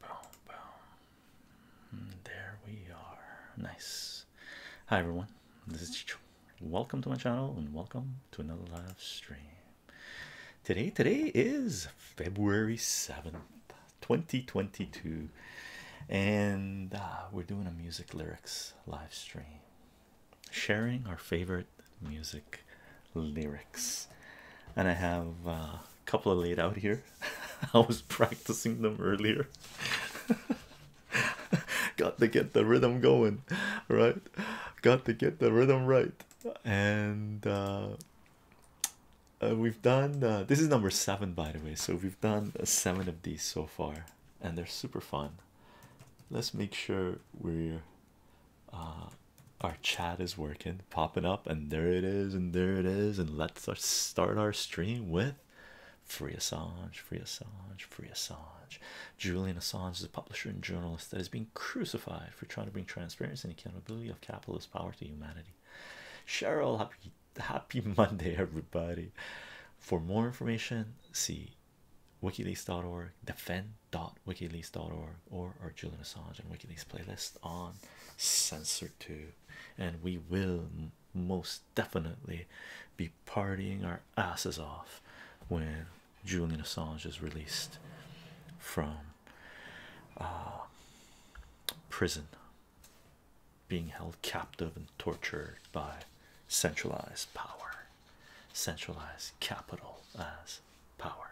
Boom, boom. Hmm, there we are. Nice. Hi, everyone. This is Chicho. Welcome to my channel and welcome to another live stream. Today, today is February 7th, 2022, and uh, we're doing a music lyrics live stream sharing our favorite music lyrics, and I have a couple of laid out here. I was practicing them earlier. Got to get the rhythm going, right? Got to get the rhythm right, and uh, uh, we've done uh, this is number seven, by the way. So we've done seven of these so far, and they're super fun. Let's make sure we're our chat is working, popping up, and there it is, and there it is, and let's start our stream with Free Assange, Free Assange, Free Assange. Julian Assange is a publisher and journalist that is being crucified for trying to bring transparency and accountability of capitalist power to humanity. Cheryl, happy happy Monday, everybody. For more information, see wikileaks.org, defend dot dot wikileaks org or our Julian Assange and WikiLeaks playlist on Censored Tube, and we will most definitely be partying our asses off when Julian Assange is released from uh, prison, being held captive and tortured by centralized power, centralized capital, as power.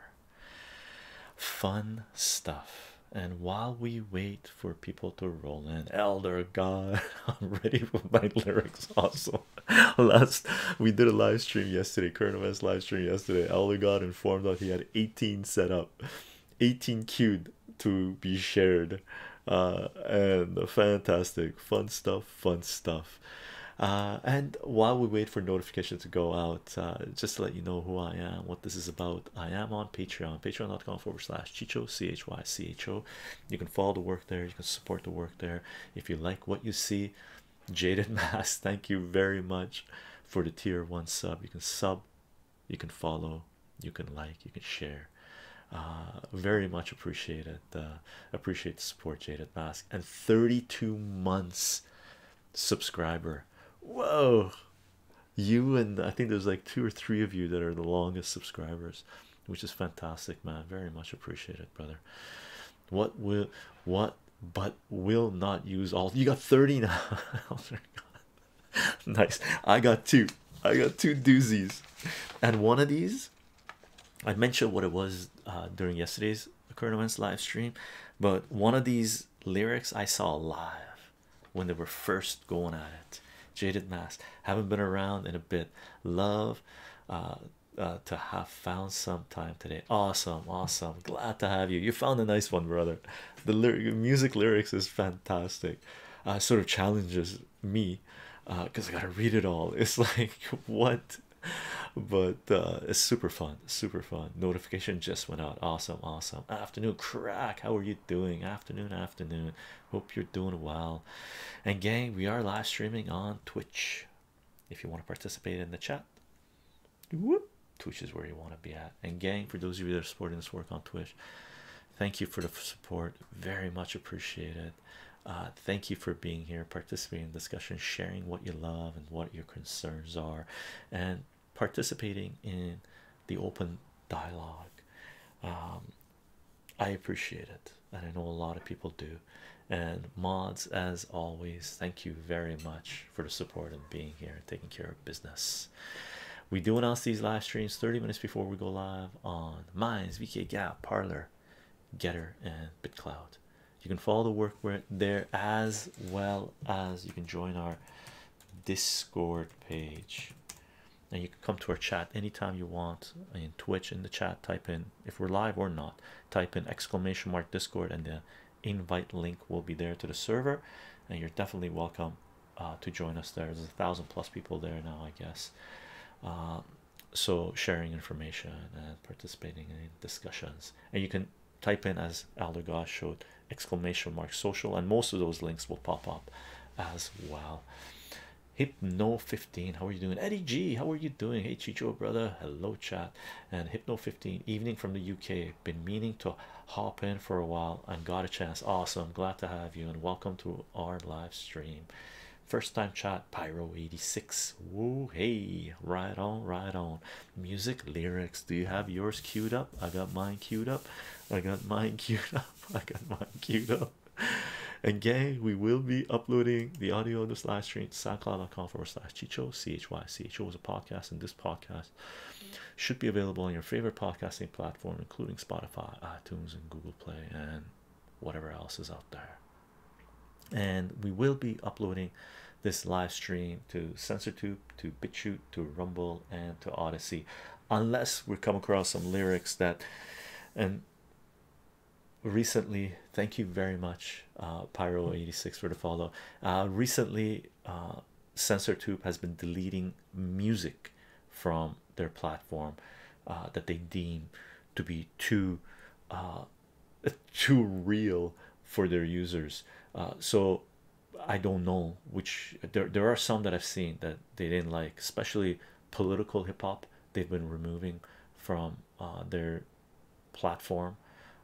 Fun stuff. And while we wait for people to roll in, Elder God, I'm ready for my lyrics. Also, last we did a live stream yesterday, current events live stream yesterday. Elder God informed that he had 18 set up, 18 queued to be shared. Uh, and fantastic, fun stuff, fun stuff. Uh, and while we wait for notification to go out uh, just to let you know who I am what this is about I am on patreon patreon.com forward slash chicho c-h-y-c-h-o you can follow the work there you can support the work there if you like what you see jaded Mask, thank you very much for the tier one sub you can sub you can follow you can like you can share uh, very much appreciated uh appreciate the support jaded mask and 32 months subscriber. Whoa, you and I think there's like two or three of you that are the longest subscribers, which is fantastic, man. Very much appreciate it, brother. What will what but will not use all you got 30 now? Oh nice, I got two. I got two doozies, and one of these. I mentioned what it was uh, during yesterday's the current events live stream, but one of these lyrics I saw live when they were first going at it. Jaded mask, haven't been around in a bit. Love uh, uh, to have found some time today. Awesome, awesome. Glad to have you. You found a nice one, brother. The lyric, music lyrics is fantastic. Uh, sort of challenges me because I gotta read it all. It's like, what but uh, it's super fun, super fun. Notification just went out. Awesome, awesome. Afternoon crack. How are you doing? Afternoon, afternoon. Hope you're doing well. And gang, we are live streaming on Twitch. If you want to participate in the chat, Twitch is where you want to be at. And gang, for those of you that are supporting this work on Twitch, thank you for the support. Very much appreciated. Uh, thank you for being here, participating in discussion, sharing what you love and what you concerns are and participating in the open dialogue. Um, I appreciate it, and I know a lot of people do. And mods, as always, thank you very much for the support and being here and taking care of business. We do announce these live streams 30 minutes before we go live on Minds, VK Gap, Parlor, Getter, and BitCloud you can follow the work there as well as you can join our discord page and you can come to our chat anytime you want in twitch in the chat type in if we're live or not type in exclamation mark discord and the invite link will be there to the server and you're definitely welcome uh, to join us there there's a thousand plus people there now i guess uh, so sharing information and participating in discussions and you can type in as Aldergosh showed exclamation mark social and most of those links will pop up as well hypno 15 how are you doing eddie g how are you doing hey chicho brother hello chat and hypno 15 evening from the uk been meaning to hop in for a while and got a chance awesome glad to have you and welcome to our live stream first time chat pyro 86 woo hey right on right on music lyrics do you have yours queued up i got mine queued up i got mine queued up i got mine queued up and gang we will be uploading the audio of this live stream soundcloud.com forward slash chicho chy cho is a podcast and this podcast should be available on your favorite podcasting platform including spotify itunes and google play and whatever else is out there and we will be uploading this live stream to SensorTube, to BitChute, to Rumble, and to Odyssey, unless we come across some lyrics that. And recently, thank you very much, uh, Pyro86 for the follow. Uh, recently, uh, SensorTube has been deleting music from their platform uh, that they deem to be too uh, too real for their users uh, so I don't know which there there are some that I've seen that they didn't like especially political hip-hop they've been removing from uh, their platform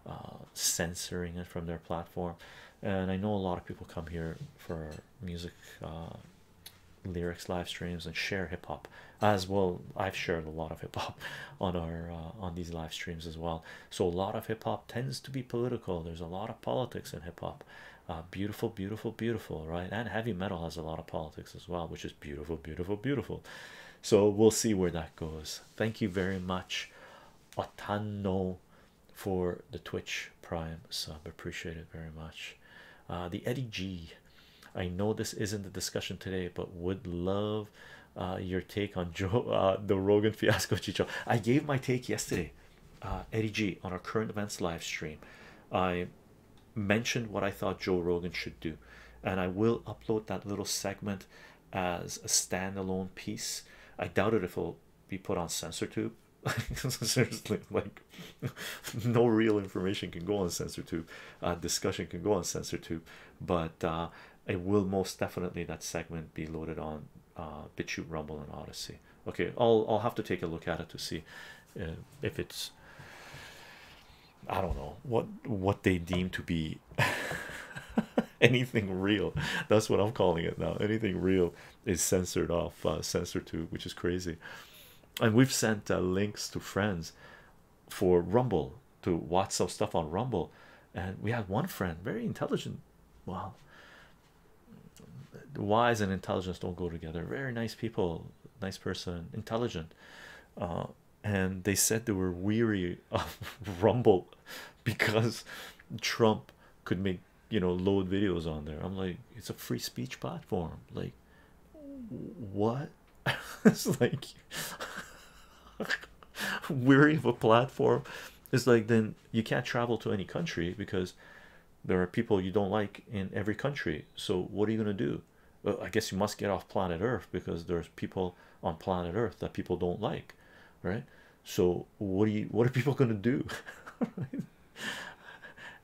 uh, censoring it from their platform and I know a lot of people come here for music lyrics live streams and share hip-hop as well I've shared a lot of hip-hop on our on these live streams as well so a lot of hip-hop tends to be political there's a lot of politics in hip-hop uh, beautiful beautiful beautiful right and heavy metal has a lot of politics as well which is beautiful beautiful beautiful so we'll see where that goes thank you very much Otano for the Twitch Prime sub, appreciate it very much. Uh, the Eddie G, I know this isn't the discussion today, but would love uh, your take on Joe uh, the Rogan fiasco Chicho I gave my take yesterday uh, Eddie G on our current events live stream I mentioned what I thought Joe Rogan should do and I will upload that little segment as a standalone piece I doubt it if it'll be put on SensorTube seriously like no real information can go on SensorTube uh, discussion can go on SensorTube but uh, it will most definitely that segment be loaded on uh, Rumble, and Odyssey. Okay, I'll I'll have to take a look at it to see uh, if it's I don't know what what they deem to be anything real. That's what I'm calling it now. Anything real is censored off, uh, censored to, which is crazy. And we've sent uh, links to friends for Rumble, to watch some stuff on Rumble, and we had one friend, very intelligent. well, wise and intelligence don't go together. Very nice people, nice person, intelligent. Uh, and they said they were weary of Rumble because Trump could make you know load videos on there. I'm like, it's a free speech platform, like, what? it's like. weary of a platform it's like then you can't travel to any country because there are people you don't like in every country so what are you going to do i guess you must get off planet earth because there's people on planet earth that people don't like right so what are you what are people going to do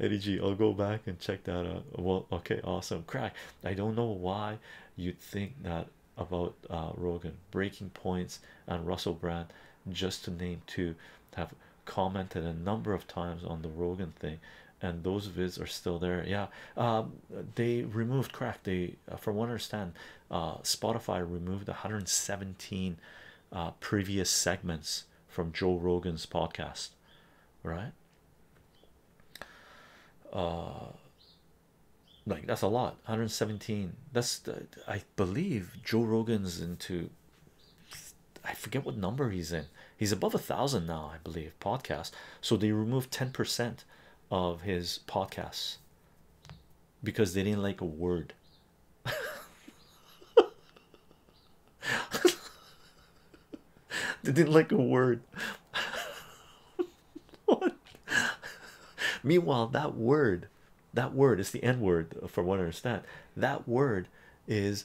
Eddie G, I'll go back and check that out. Well, okay, awesome. Crack. I don't know why you'd think that about uh, Rogan, Breaking Points, and Russell Brand, just to name two, have commented a number of times on the Rogan thing, and those vids are still there. Yeah, um, they removed crack. They, uh, from what I understand, uh, Spotify removed 117 previous segments from Joe Rogan's podcast, right? like that's a lot 117 that's i believe joe rogan's into i forget what number he's in he's above a thousand now i believe podcast so they removed 10 percent of his podcasts because they didn't like a word they didn't like a word Meanwhile, that word, that word is the N word, for what I understand. That word is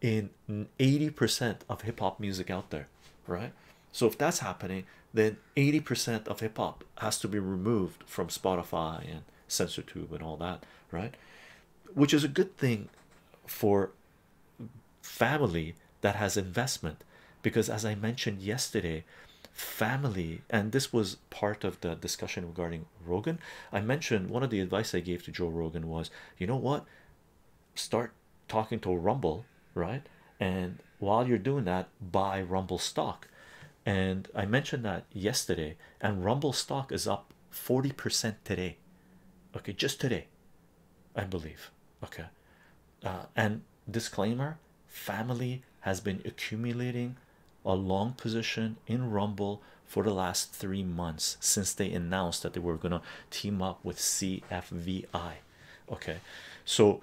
in 80% of hip hop music out there, right? So if that's happening, then 80% of hip hop has to be removed from Spotify and CensorTube and all that, right? Which is a good thing for family that has investment because as i mentioned yesterday family and this was part of the discussion regarding rogan i mentioned one of the advice i gave to joe rogan was you know what start talking to rumble right and while you're doing that buy rumble stock and i mentioned that yesterday and rumble stock is up 40% today okay just today i believe okay uh, and disclaimer family has been accumulating a long position in rumble for the last three months since they announced that they were going to team up with cfvi okay so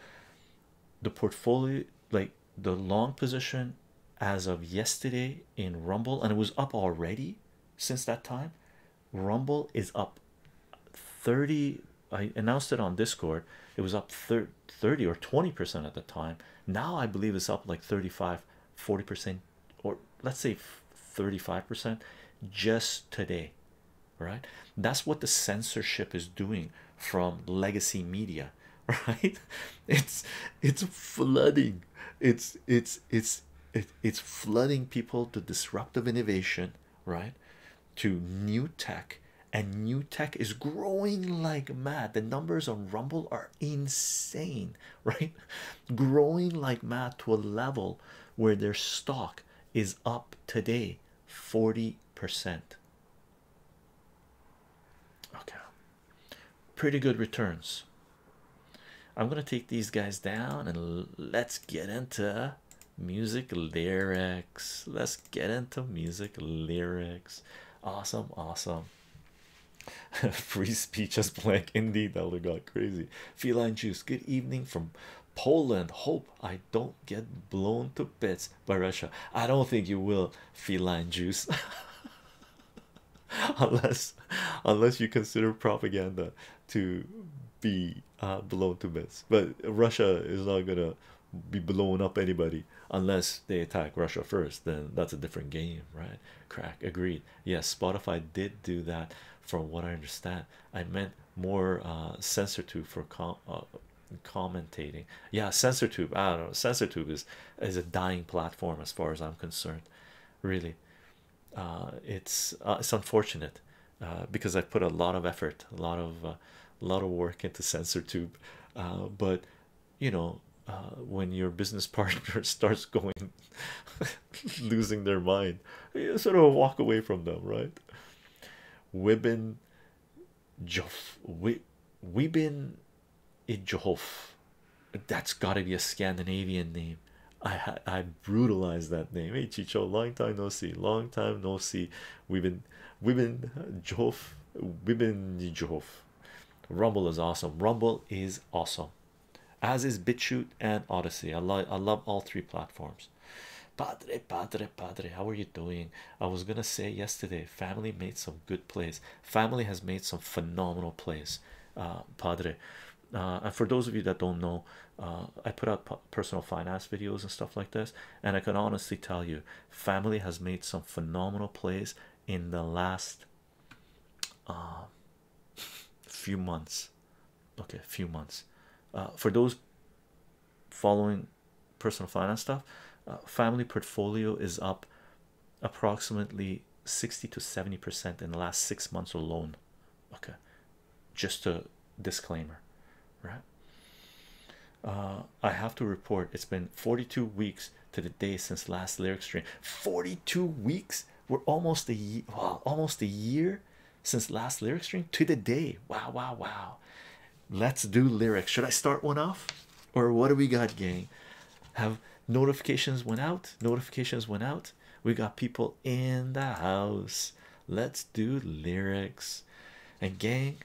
the portfolio like the long position as of yesterday in rumble and it was up already since that time rumble is up 30 I announced it on Discord. It was up 30 or 20% at the time. Now I believe it's up like 35, 40%, or let's say 35% just today, right? That's what the censorship is doing from legacy media, right? It's it's flooding. It's it's it's it's flooding people to disruptive innovation, right? to new tech, and new tech is growing like mad. The numbers on Rumble are insane, right? Growing like mad to a level where their stock is up today 40%. Okay, pretty good returns. I'm gonna take these guys down and let's get into music lyrics. Let's get into music lyrics. Awesome, awesome. Free speech is blank indeed. That would like crazy. Feline juice. Good evening from Poland. Hope I don't get blown to bits by Russia. I don't think you will. Feline juice. unless unless you consider propaganda to be uh, blown to bits but russia is not gonna be blowing up anybody unless they attack Russia first. Then that's a different game, right? Crack agreed. Yes, Spotify did do that, from what I understand. I meant more uh, censor tube for com uh, commentating. Yeah, censor tube. I don't know. Censor tube is is a dying platform as far as I'm concerned. Really, uh, it's uh, it's unfortunate uh, because I put a lot of effort, a lot of a uh, lot of work into censor tube. Uh, but you know uh, when your business partner starts going losing their mind you sort of walk away from them right Wibin Jof we Wibin Ijof that's got to be a Scandinavian name I I brutalized that name hey Chicho long time no see long time no see Women, women, Jove, women, Jove. Rumble is awesome. Rumble is awesome, as is BitChute and Odyssey. I love, I love all three platforms. Padre, padre, padre. How are you doing? I was gonna say yesterday. Family made some good plays. Family has made some phenomenal plays. Uh, padre. Uh, and for those of you that don't know, uh, I put out personal finance videos and stuff like this, and I can honestly tell you family has made some phenomenal plays in the last um, few months okay few months uh, for those following personal finance stuff uh, family portfolio is up approximately 60 to 70 percent in the last six months alone okay just a disclaimer right uh, I have to report it's been 42 weeks to the day since last lyric stream. 42 weeks. We're almost a year, wow, almost a year since last lyric stream to the day. Wow, wow, wow. Let's do lyrics. Should I start one off, or what do we got, gang? Have notifications went out. Notifications went out. We got people in the house. Let's do lyrics. And gang,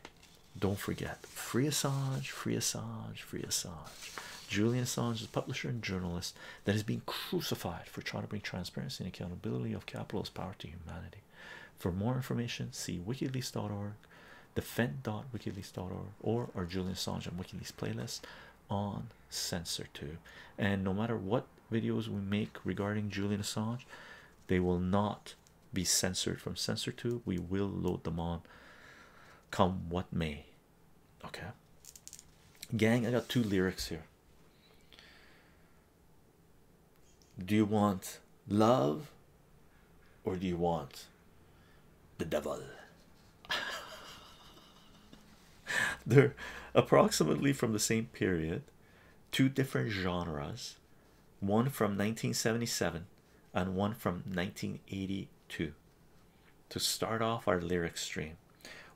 don't forget free Assange, free Assange, free Assange. Julian Assange is a publisher and journalist that has been crucified for trying to bring transparency and accountability of capitalist power to humanity. For more information, see wikileaks.org, defend.wikileaks.org, or our Julian Assange and WikiLeaks playlist on Censor2. And no matter what videos we make regarding Julian Assange, they will not be censored from censor Two. We will load them on come what may. Okay, gang, I got two lyrics here. Do you want love or do you want the devil? They're approximately from the same period, two different genres, one from 1977 and one from 1982 to start off our lyric stream.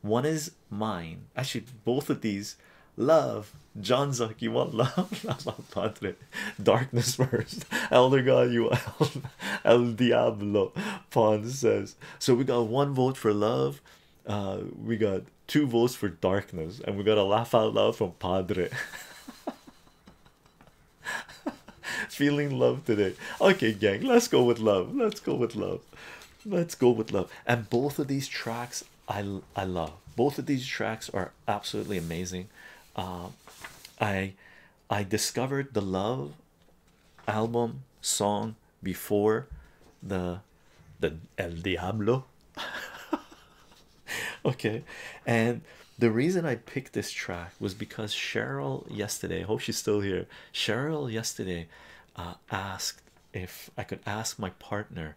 One is mine. Actually, both of these love John Zuck, you want love? Darkness first. Elder God, you El, Diablo. Pond says. So we got one vote for love. Uh, we got two votes for darkness, and we got a laugh out loud from Padre. Feeling love today. Okay, gang, let's go with love. Let's go with love. Let's go with love. And both of these tracks I I love. Both of these tracks are absolutely amazing. Um, I I discovered the love album song before the the El Diablo okay and the reason i picked this track was because cheryl yesterday I hope she's still here cheryl yesterday uh, asked if i could ask my partner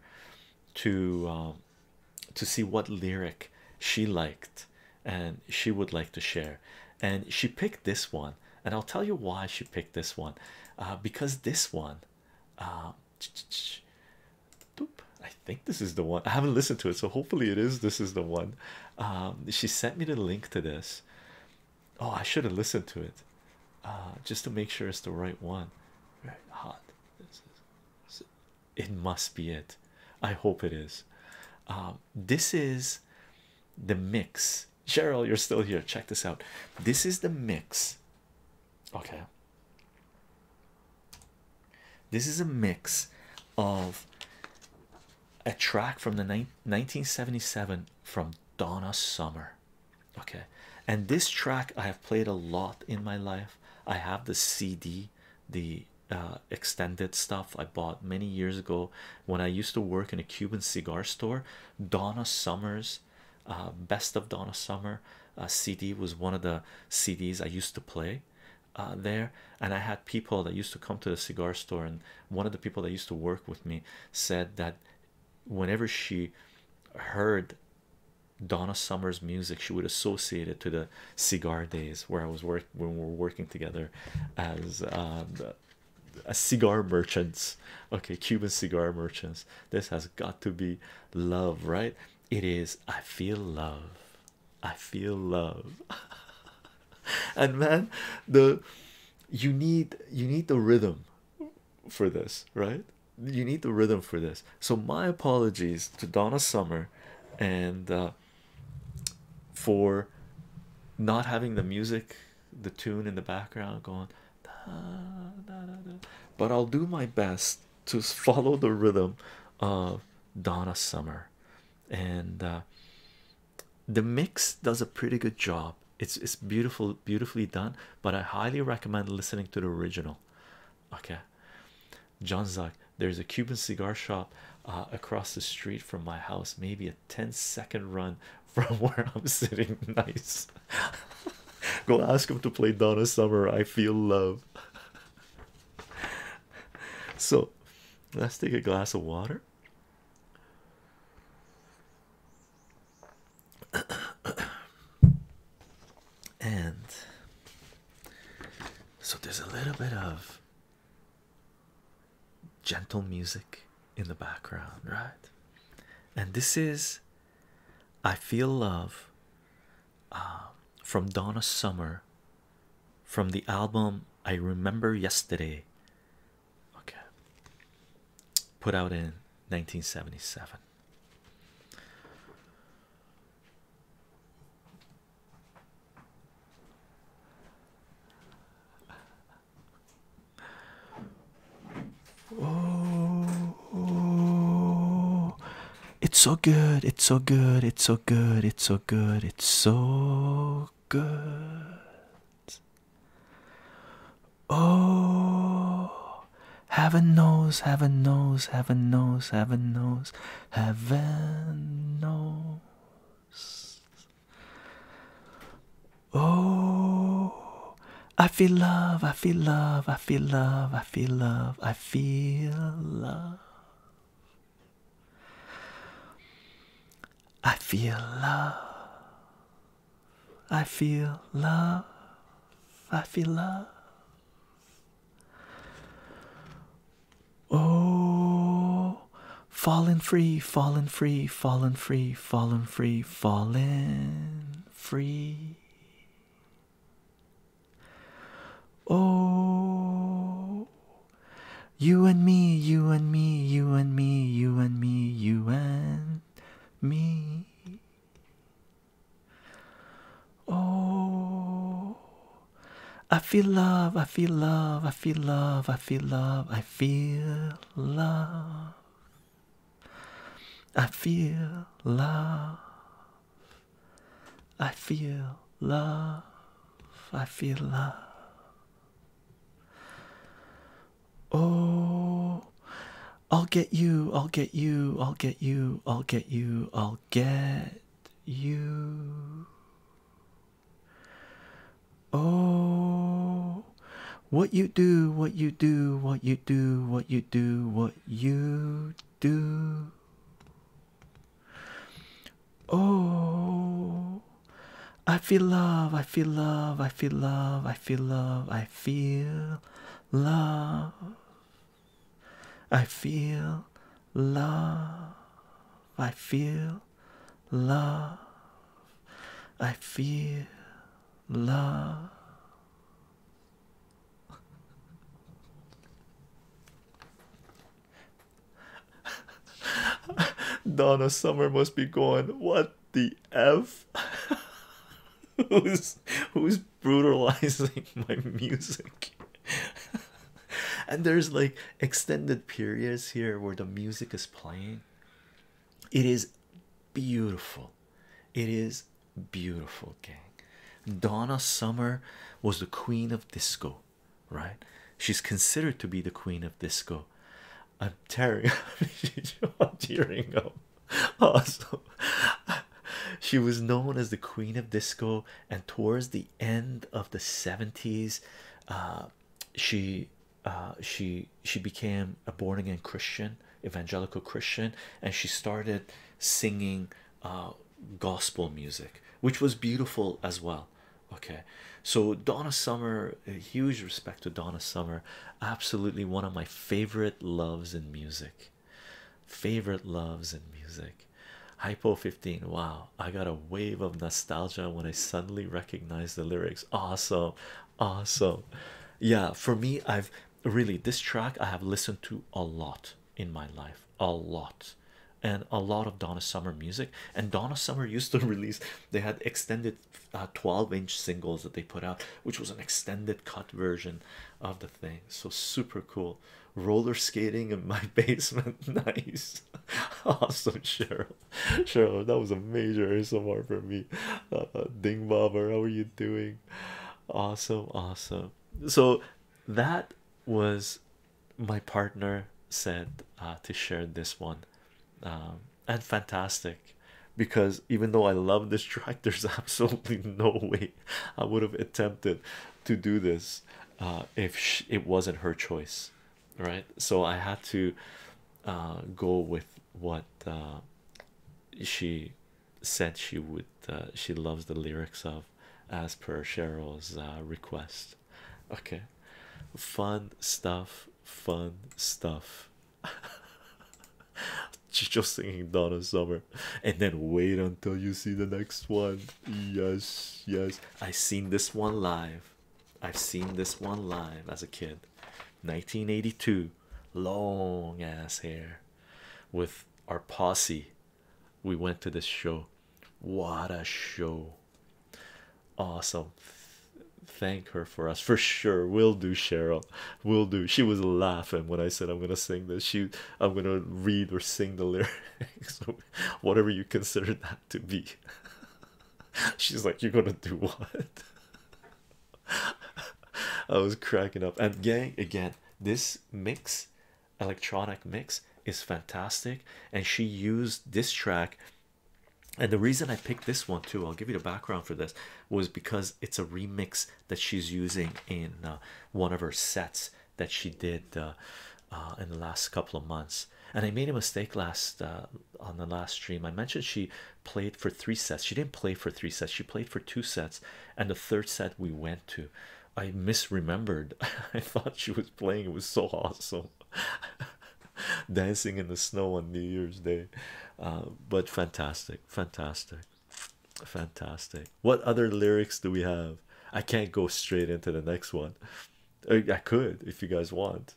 to um, to see what lyric she liked and she would like to share and she picked this one and i'll tell you why she picked this one uh, because this one uh, I think this is the one. I haven't listened to it, so hopefully it is. This is the one. Um, she sent me the link to this. Oh, I should have listened to it, uh, just to make sure it's the right one. Right, hot. This is, it must be it. I hope it is. Um, this is the mix. Cheryl, you're still here. Check this out. This is the mix. Okay. This is a mix of a track from the 1977 from Donna Summer. Okay, and this track I have played a lot in my life. I have the CD, the uh, extended stuff I bought many years ago when I used to work in a Cuban cigar store. Donna Summer's uh, Best of Donna Summer uh, CD was one of the CDs I used to play. Uh, there and I had people that used to come to the cigar store and one of the people that used to work with me said that whenever she heard Donna Summer's music she would associate it to the cigar days where I was work when we were working together as um, a cigar merchants okay Cuban cigar merchants this has got to be love right it is I feel love I feel love. and man, the you need you need the rhythm for this, right? You need the rhythm for this. So my apologies to Donna Summer and uh, for not having the music, the tune in the background going. But I'll do my best to follow the rhythm of Donna Summer and uh, the mix does a pretty good job. It's it's beautiful, beautifully done. But I highly recommend listening to the original. Okay, John Zuck. There's a Cuban cigar shop uh, across the street from my house. Maybe a 10 second run from where I'm sitting. Nice. Go ask him to play Donna Summer. I feel love. so Let's take a glass of water. and so there's a little bit of gentle music in the background, right? And this is I Feel Love uh, from Donna Summer from the album I Remember Yesterday, okay, put out in 1977. Oh, it's so good! It's so good! It's so so good, it's so good, it's so good. Oh, heaven knows, heaven knows, heaven knows, heaven knows, heaven knows. Oh, I feel love, I feel love, I feel love, I feel love, I feel love. I feel love. I feel love. I feel love. Oh, fallen free, fallen free, fallen free, fallen free, fallen free. Oh, you and me, you and me, you and me, you and me, you and me. Oh, I feel love, I feel love, I feel love, I feel love, I feel love. I feel love. I feel Love, I feel love. Oh, I'll get you, I'll get you, I'll get you, I'll get you, I'll get you. Oh, what you do, what you do, what you do, what you do, what you do. Oh, I feel love, I feel love, I feel love, I feel love, I feel love, I feel love, I feel love, I feel love. Donna Summer must be going, what the F? who's who's brutalizing my music? and there's like extended periods here where the music is playing. It is beautiful. It is beautiful, gang. Donna Summer was the queen of disco right? She's considered to be the queen of disco. I'm tearing up, I'm tearing up. Awesome. She was known as the queen of disco, and towards the end of the 70s, uh, she uh, she she became a born again Christian, evangelical Christian, and she started singing uh, gospel music, which was beautiful as well. Okay, so Donna Summer, huge respect to Donna Summer, absolutely one of my favorite loves in music. Favorite loves in music. Hypo 15. Wow, I got a wave of nostalgia when I suddenly recognize the lyrics. Awesome, awesome. Yeah, for me, I've really this track I have listened to a lot in my life a lot and a lot of Donna Summer music. And Donna Summer used to release, they had extended uh, 12 inch singles that they put out, which was an extended cut version of the thing. So super cool. Roller skating in my basement. nice. awesome, Cheryl. Cheryl, that was a major ASMR for me. Uh, Ding Bobber, how are you doing? Awesome, awesome. So that was my partner said uh, to share this one um, and fantastic because even though I love this track there's absolutely no way I would have attempted to do this uh, if it wasn't her choice right so I had to uh, go with what she said she would she loves the lyrics of as per Cheryl's request okay fun stuff fun stuff just singing Donna Summer and then wait until you see the next one yes yes I seen this one live I've seen this one live as a kid 1982 long ass hair with our posse we went to this show what a show! Awesome. Thank her for us for sure. we Will do, Cheryl. we Will do. She was laughing when I said I'm gonna sing this. She, I'm gonna read or sing the lyrics, whatever you consider that to be. She's like, You're gonna do what? I was cracking up. And gang, again, this mix, electronic mix, is fantastic, and she used this track. And the reason I picked this one too, I'll give you the background for this, was because it's a remix that she's using in uh, one of her sets that she did uh, uh, in the last couple of months. And I made a mistake last on the last stream. I mentioned she played for three sets. She didn't play for three sets. She played for two sets, and the third set we went to. I misremembered. I thought she was playing. It was so awesome. dancing in the snow on New Year's Day. Uh, but fantastic, fantastic, fantastic. What other lyrics do we have? I can't go straight into the next one. I could if you guys want,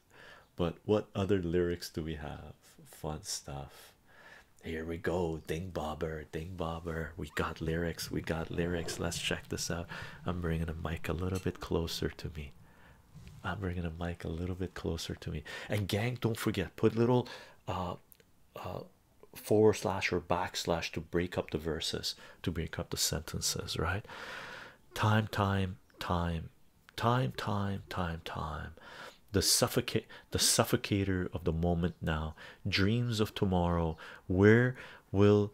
but what other lyrics do we have? Fun stuff. Here we go, Ding Bobber, Ding Bobber. We got lyrics, we got lyrics. Let's check this out. I'm bringing a mic a little bit closer to me. I'm bringing a mic a little bit closer to me. And gang, don't forget, put little uh, uh, forward slash or backslash to break up the verses, to break up the sentences, right? Time, time, time, time, time, time, time. The suffocate, the suffocator of the moment now. Dreams of tomorrow. Where will,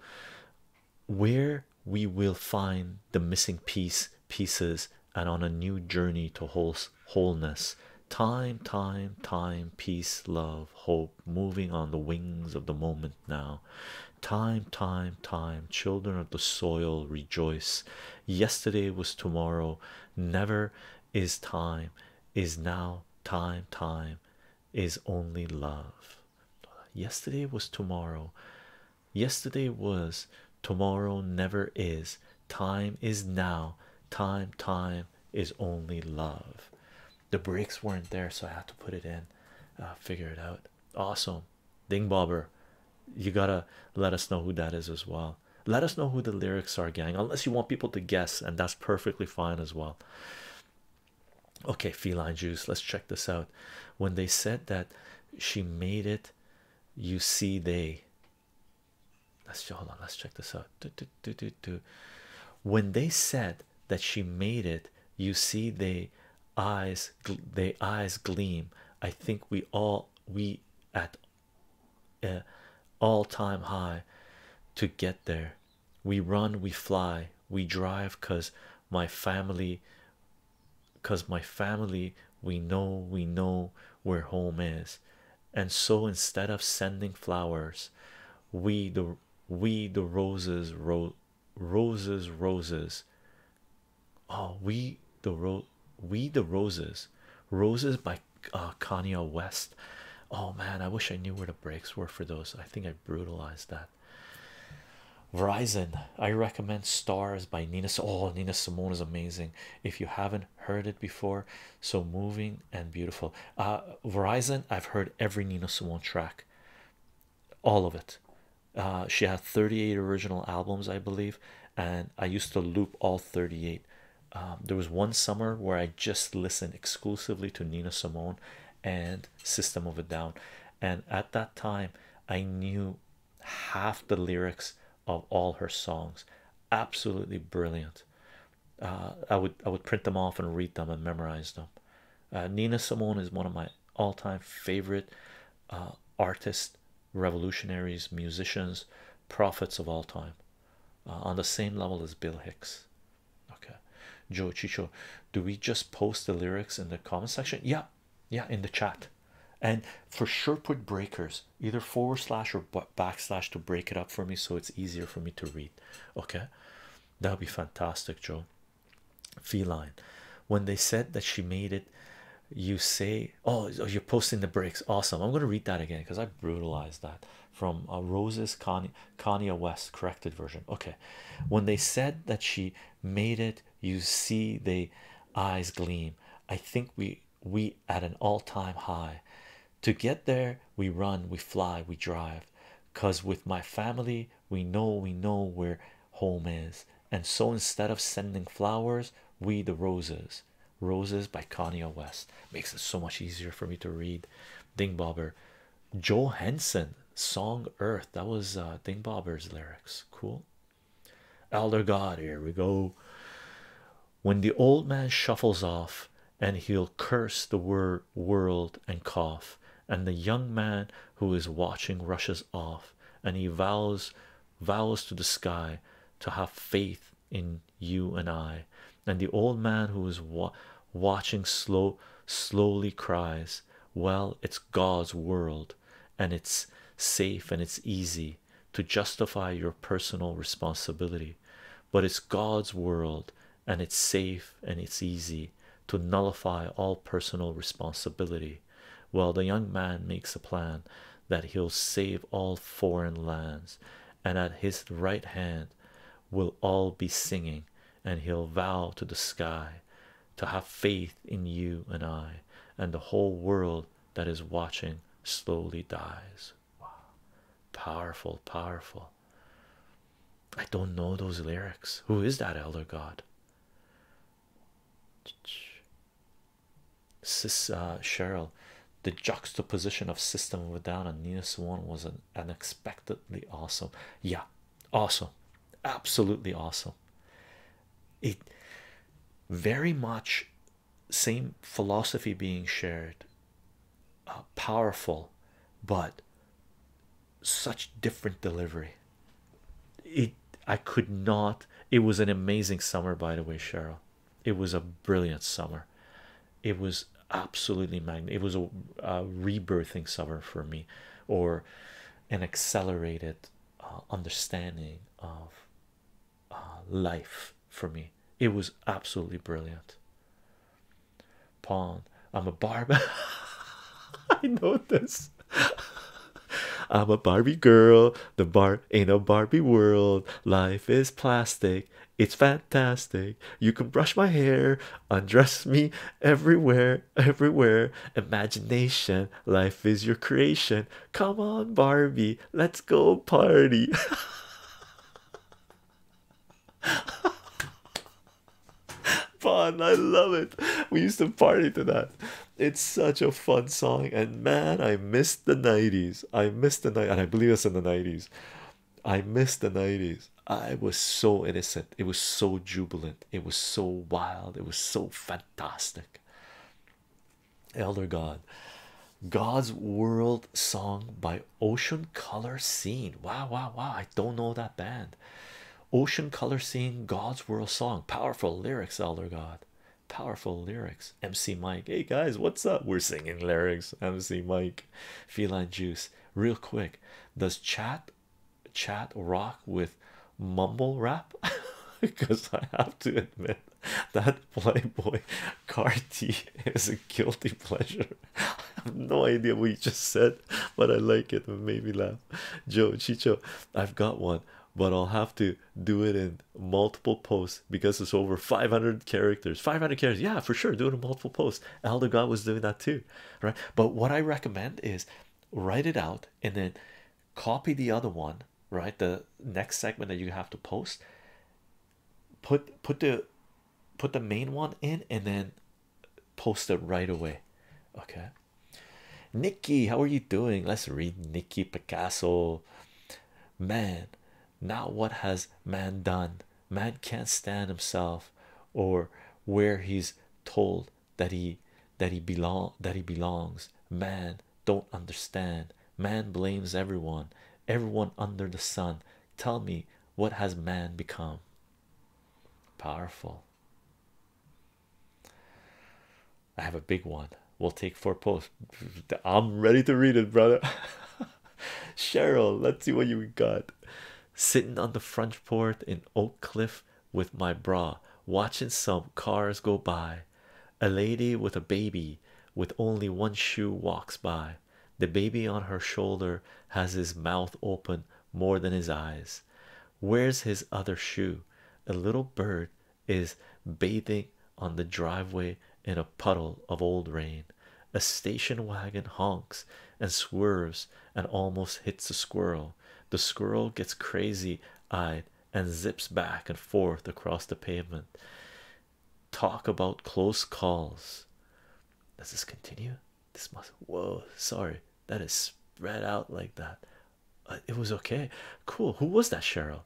where we will find the missing piece pieces and on a new journey to whole wholeness time time time peace love hope moving on the wings of the moment now time time time children of the soil rejoice yesterday was tomorrow never is time is now time time is only love Yesterday was tomorrow. Yesterday was tomorrow, never is. Time is now. Time, time is only love. The bricks weren't there, so I had to put it in, uh, figure it out. Awesome, Ding You gotta let us know who that is as well. Let us know who the lyrics are, gang, unless you want people to guess, and that's perfectly fine as well. Okay, feline juice. Let's check this out. When they said that she made it, you see, they let's hold on, let's check this out. When they said that she made it, you see, they eyes, they eyes gleam. I think we all we at uh, all time high to get there. We run, we fly, we drive because my family because my family we know we know where home is and so instead of sending flowers we the we the roses roses roses oh we the ro we the roses roses by uh, Kanye West oh man I wish I knew where the breaks were for those I think I brutalized that Verizon, I recommend Stars by Nina. Oh, Nina Simone is amazing if you haven't heard it before. So moving and beautiful. Uh, Verizon, I've heard every Nina Simone track, all of it. Uh, she had 38 original albums, I believe, and I used to loop all 38. Um, there was one summer where I just listened exclusively to Nina Simone and System of a Down, and at that time I knew half the lyrics of all her songs. Absolutely brilliant. Uh, I would I would print them off and read them and memorize them. Uh, Nina Simone is one of my all-time favorite uh, artists, revolutionaries, musicians, prophets of all time. on the same level as Bill Hicks. Okay, Joe Chicho, do we just post the lyrics in the comment section? Yeah, yeah in the chat and for sure put breakers either forward slash or backslash to break it up for me so it's easier for me to read okay that would be fantastic joe feline when they said that she made it you say oh, oh you're posting the breaks awesome i'm going to read that again because i brutalized that from uh, roses Con Kanye west corrected version okay when they said that she made it you see they eyes gleam i think we we at an all-time high to get there we run we fly we drive cuz with my family we know we know where home is and so instead of sending flowers we the roses roses by Kanye West makes it so much easier for me to read ding bobber joe henson song earth that was uh ding bobber's lyrics cool elder god here we go when the old man shuffles off and he'll curse the word world and cough and the young man who is watching rushes off and he vows vows to the sky to have faith in you and i and the old man who is watching slow slowly cries well it's god's world and it's safe and it's easy to justify your personal responsibility, but it's God's world and it's safe and it's easy to nullify all personal responsibility. Well, the young man makes a plan that he'll save all foreign lands, and at his right hand will all be singing, and he'll vow to the sky to have faith in you and I, and the whole world that is watching slowly dies. Wow, powerful, powerful. I don't know those lyrics. Who is that elder god? Sis, uh, Cheryl, the juxtaposition of System of Down and Nina Swan was an unexpectedly awesome. Yeah, awesome, absolutely awesome it very much same philosophy being shared uh, powerful but such different delivery it i could not it was an amazing summer by the way cheryl it was a brilliant summer it was absolutely magn it was a rebirthing summer for me or an accelerated uh, understanding of uh, life for me. It was absolutely brilliant. Pawn, I'm a Barbie. I know this. I'm a Barbie girl. The bar ain't a Barbie world. Life is plastic. It's fantastic. You can brush my hair, undress me, everywhere, everywhere. Imagination, life is your creation. Come on, Barbie, let's go party. fun. I love it. We used to party to that. It's such a fun song, and man, I missed the '90s. I missed the '90s. and I believe it's in the '90s. I missed the '90s. I was so innocent. It was so jubilant. It was so wild. It was so fantastic fantastic. Elder God, God's World Song by Ocean Color Scene. Wow, wow, wow! I don't know that band. Ocean Color Scene, God's World Song, powerful lyrics. Elder God, powerful lyrics. MC Mike, hey guys, what's up? We're singing lyrics. MC Mike, Feline Juice. Real quick, does chat chat rock with mumble rap because I have to admit that Playboy Carti is a guilty pleasure. I have no idea what you just said, but I like it. It made me laugh. Joe Chicho, I've got one, but I'll have to do it in multiple posts because it's over 500 characters. 500 characters, yeah, for sure. Do it in multiple posts. Elder was doing that too, right? But what I recommend is write it out and then copy the other one right the next segment that you have to post put put the put the main one in and then post it right away okay nikki how are you doing let's read nikki picasso man now what has man done man can't stand himself or where he's told that he that he belong that he belongs man don't understand man blames everyone everyone under the sun tell me what has man become powerful i have a big one we'll take four posts i'm ready to read it brother cheryl let's see what you got sitting on the front porch in oak cliff with my bra, watching some cars go by. A lady with a baby with only one shoe walks by. The baby on her shoulder has his mouth open more than his eyes. Where's his other shoe? A little bird is bathing on the driveway in a puddle of old rain. A station wagon honks and swerves and almost hits a squirrel. The squirrel gets crazy eyed and zips back and forth across the pavement. Talk about close calls. Does this continue? This must. Whoa, sorry, that is spread out like that. Uh, it was okay. Cool. Who was that, Cheryl?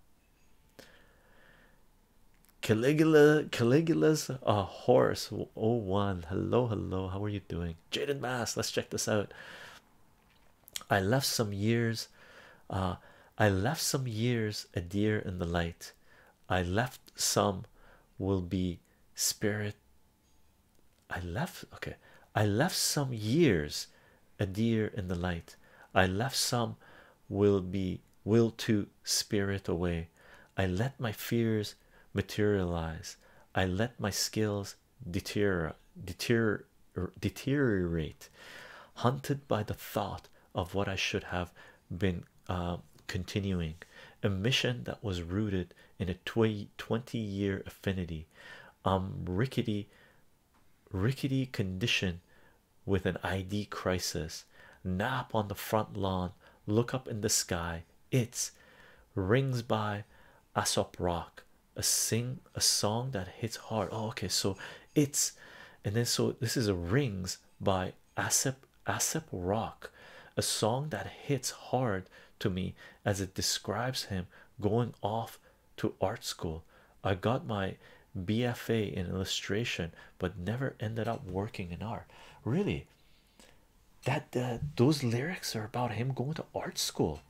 Caligula, Caligula's a uh, horse. Oh, one. Hello, hello. How are you doing, Jaden Mass? Let's check this out. I left some years Ah, I left some years a dear in the light I left some will be spirit I left okay I left some years a dear in the light I left some will be will to spirit away I let my fears materialize I let my skills things er, deteriorate deterior, deteriorate hunted by the thought of what i should have been uh, continuing a mission that was rooted in a 20 year affinity um rickety rickety condition with an id crisis nap on the front lawn look up in the sky it's rings by Aesop rock a sing a song that hits hard oh okay so it's and then so this is a rings by Aesop Aesop rock a song that hits hard to me as it describes him going off to art school I got my BFA in illustration but never ended up working in art really that uh, those lyrics are about him going to art school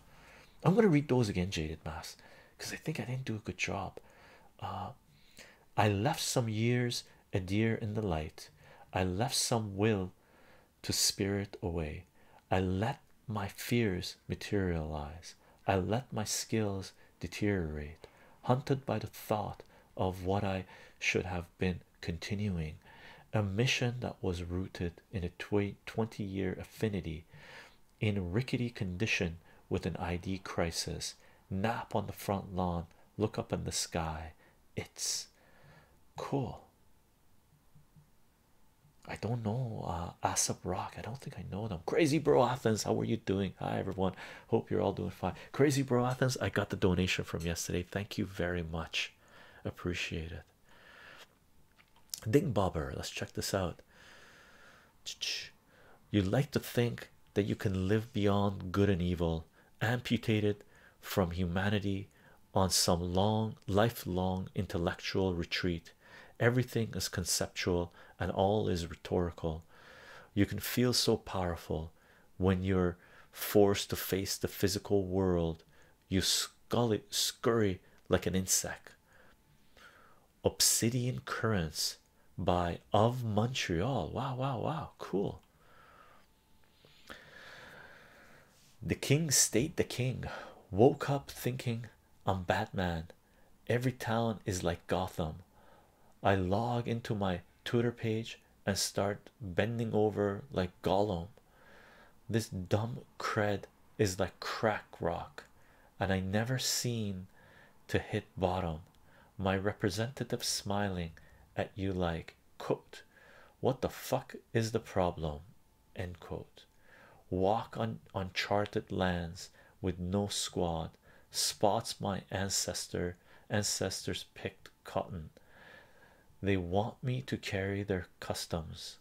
I'm gonna read those again, Jaded Mass, because I think I didn't do a good job. Uh, I left some years a dear in the light. I left some will to spirit away. I let my fears materialize. I let my skills deteriorate, hunted by the thought of what I should have been continuing, a mission that was rooted in a 20 year affinity in rickety condition with an ID crisis. Nap on the front lawn, look up in the sky. It's cool. I don't know. Uh, Asap Rock, I don't think I know them. Crazy Bro Athens, how are you doing? Hi, everyone. Hope you're all doing fine. Crazy Bro Athens, I got the donation from yesterday. Thank you very much. Appreciate it. Ding Bobber, let's check this out. You like to think that you can live beyond good and evil, amputated from humanity on some long, lifelong intellectual retreat. Everything is conceptual and all is rhetorical. You can feel so powerful when you're forced to face the physical world. You scully, scurry like an insect, Obsidian Currents by Of Montreal. Wow, wow, wow, cool. The King State the King woke up thinking, I'm Batman. Every town is like Gotham. I log into my Twitter page and start bending over like Gollum. This dumb cred is like crack rock and I never seem to hit bottom. My representative smiling at you like quote what the fuck is the problem end quote walk on uncharted lands with no squad spots my ancestor ancestors picked cotton they want me to carry their customs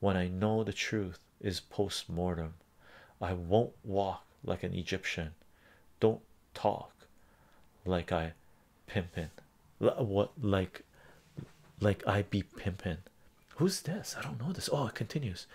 when I know the truth is post-mortem i won't walk like an egyptian don't talk like i pimpin what like like i be pimpin who's this i don't know this oh it continues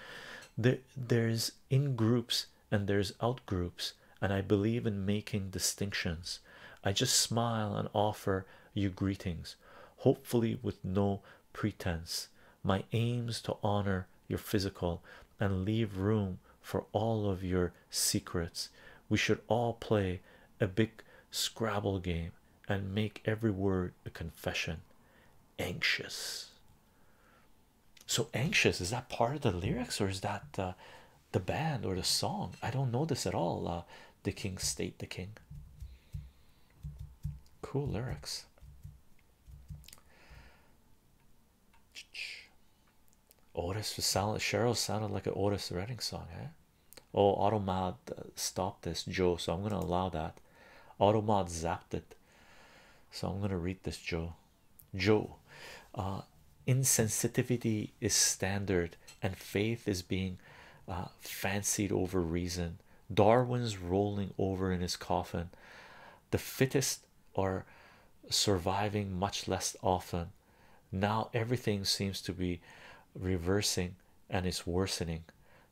there there's in groups and there's out groups and i believe in making distinctions i just smile and offer you greetings hopefully with no pretense my aims to honor your physical and leave room for all of your secrets. We should all play a big Scrabble game and make every word a confession. Anxious. So anxious is that part of the lyrics, or is that uh, the band or the song? I don't know this at all. Uh, the King State the King. Cool lyrics. Otis for Salad Cheryl sounded like an Otis Redding song, eh? Oh, Automod stopped this, Joe. So I'm gonna allow that. Automod zapped it. So I'm gonna read this, Joe. Joe, uh, insensitivity is standard, and faith is being uh, fancied over reason. Darwin's rolling over in his coffin. The fittest are surviving much less often. Now everything seems to be reversing and it's worsening.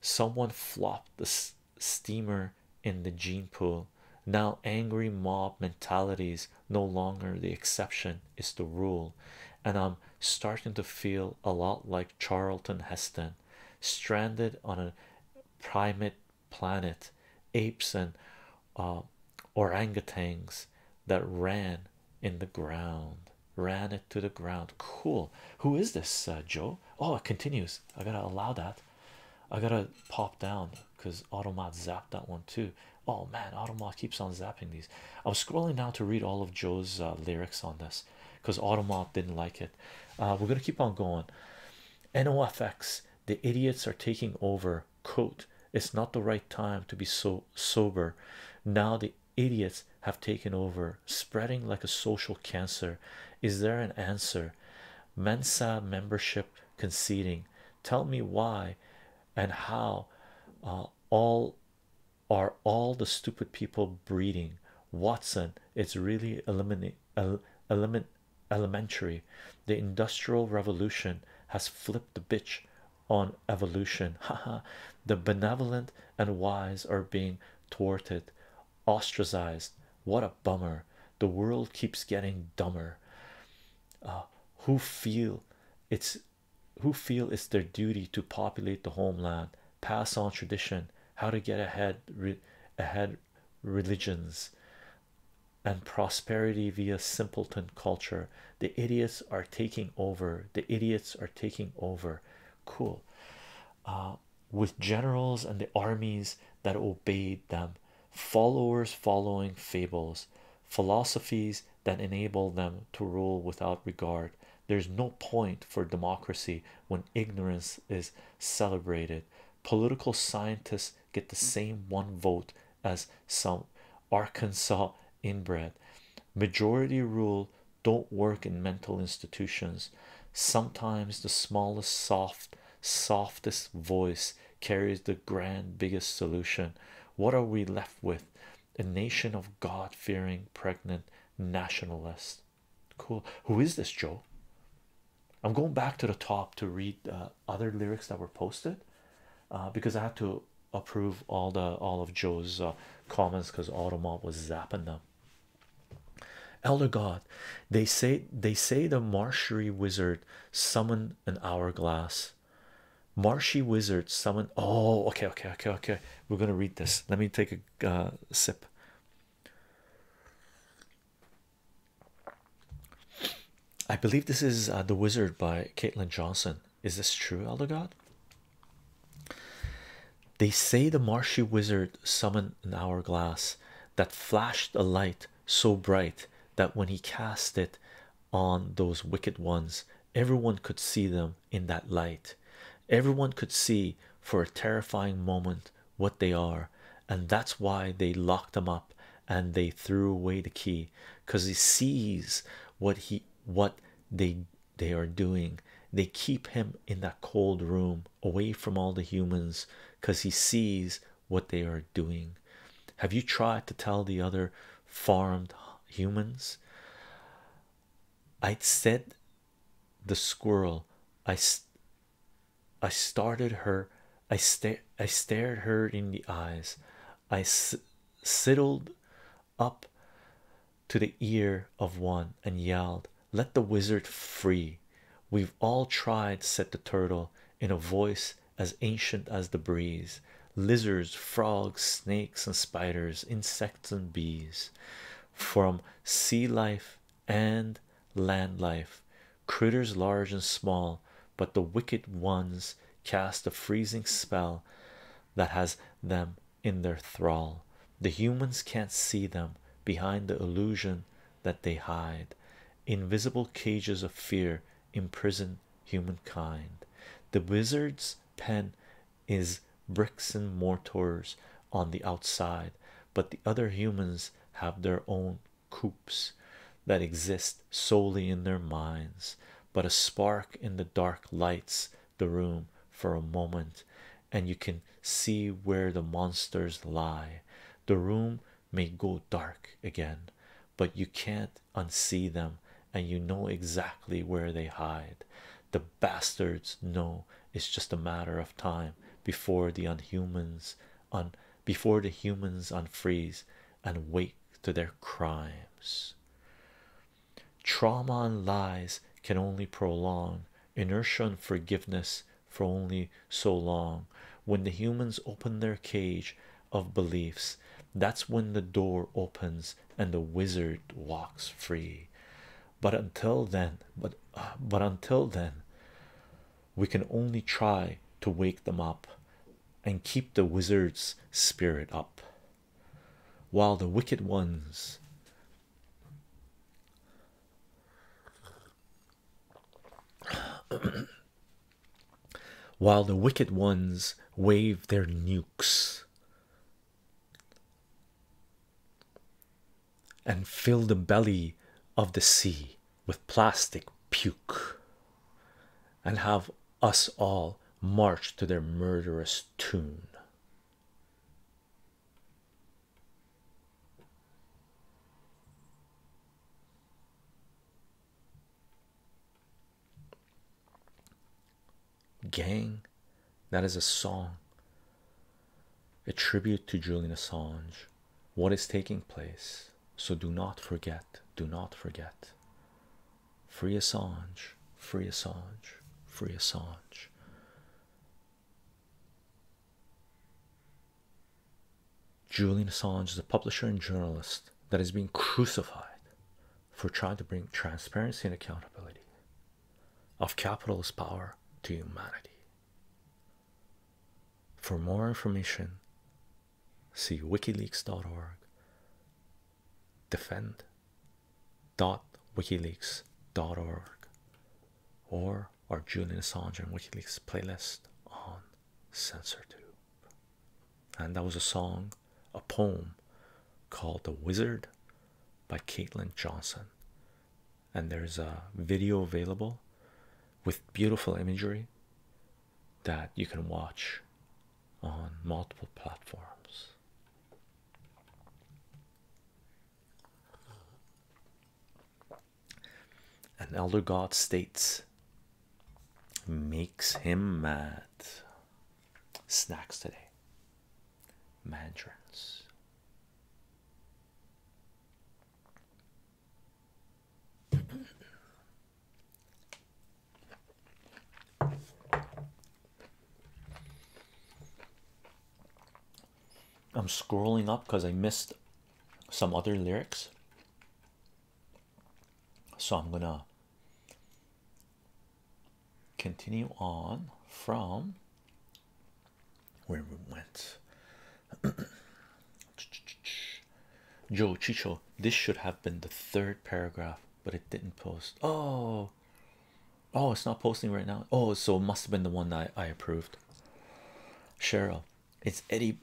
Someone flopped the steamer in the gene pool. Now, angry mob mentalities no longer the exception is the rule, and I'm starting to feel a lot like Charlton Heston stranded on a primate planet, apes and uh, orangutans that ran in the ground, ran it to the ground. Cool. Who is this, uh, Joe? Oh, it continues. I gotta allow that. I gotta pop down because Automat zapped that one too. Oh man, Automat keeps on zapping these. I'm scrolling now to read all of Joe's uh, lyrics on this because Automat didn't like it. Uh, we're gonna keep on going. NOFX, the idiots are taking over. Quote, it's not the right time to be so sober. Now the idiots have taken over, spreading like a social cancer. Is there an answer? Mensa membership conceding. Tell me why and how uh, all are all the stupid people breeding. Watson, it's really elementary the industrial revolution has flipped the bitch on evolution haha the benevolent and wise are being thwarted ostracized what a bummer the world keeps getting dumber uh, who feel it's who feel it's their duty to populate the homeland pass on tradition how to get ahead ahead religions and prosperity via simpleton culture the idiots are taking over the idiots are taking over cool uh, with generals and the armies that obeyed them followers following fables philosophies that enable them to rule without regard there's no point for democracy when ignorance is celebrated political scientists get the same one vote as some arkansas inbred majority rule don't work in mental institutions sometimes the smallest soft softest voice carries the grand biggest solution what are we left with a nation of god-fearing pregnant nationalists cool who is this joe i'm going back to the top to read other lyrics that were posted uh, because i had to approve all the all of joe's uh, comments because automob was zapping them elder god they say they say the marshy wizard summoned an hourglass marshy wizard summoned oh okay okay okay okay we're gonna read this let me take a uh, sip I believe this is uh, The Wizard by Caitlin Johnson. Is this true, Elder God? They say the marshy wizard summoned an hourglass that flashed a light so bright that when he cast it on those wicked ones, everyone could see them in that light everyone could see for a terrifying moment what they are, and that's why they locked him up and they threw away the key because he sees what he what they they are doing. They keep him in that cold room away from all the humans because he sees what they are doing. Have you tried to tell the other farmed humans? I'd said the squirrel, I I started her. I stared. I stared her in the eyes. I sidled up to the ear of one and yelled, "Let the wizard free!" We've all tried," said the turtle in a voice as ancient as the breeze. Lizards, frogs, snakes, and spiders, insects, and bees, from sea life and land life, critters large and small, but the wicked ones cast a freezing spell that has them in their thrall. The humans can't see them behind the illusion that they hide. Invisible cages of fear imprison humankind. The wizard's pen is bricks and mortars, on the outside, but the other humans have their own coops that exist solely in their minds. But a spark in the dark lights the room for a moment, and you can see where the monsters lie. The room may go dark again, but you can't unsee them, and you know exactly where they hide. The bastards know it's just a matter of time before the unhumans on before the humans unfreeze and wake to their crimes. Trauma and lies can only prolong inertia and forgiveness for only so long. When the humans open their cage of beliefs, that's when the door opens and the wizard walks free but until then but but until then we can only try to wake them up and keep the wizard's spirit up while the wicked ones while the wicked ones wave their nukes and fill the belly of the sea with plastic puke and have us all march to their murderous tune. Gang, that is a song a tribute to Julian Assange. What is taking place? So do not forget, do not forget. Free Assange, free Assange, free Assange. Julian Assange is a publisher and journalist that is being crucified for trying to bring transparency and accountability of capitalist power to humanity. For more information, see wikileaks.org, defend.wikileaks.org, or our Julian Assange WikiLeaks playlist on CensorTube. And that was a song, a poem called The Wizard by Caitlin Johnson and there's a video available with beautiful imagery that you can watch on multiple platforms. An elder god states, makes him mad. Snacks today, mandarins. I'm scrolling up because I missed some other lyrics, so I'm gonna continue on from where we went. Joe Chicho, this should have been the third paragraph, but it didn't post. Oh, oh, it's not posting right now. Oh, so it must have been the one that I, approved. Cheryl, it's Eddie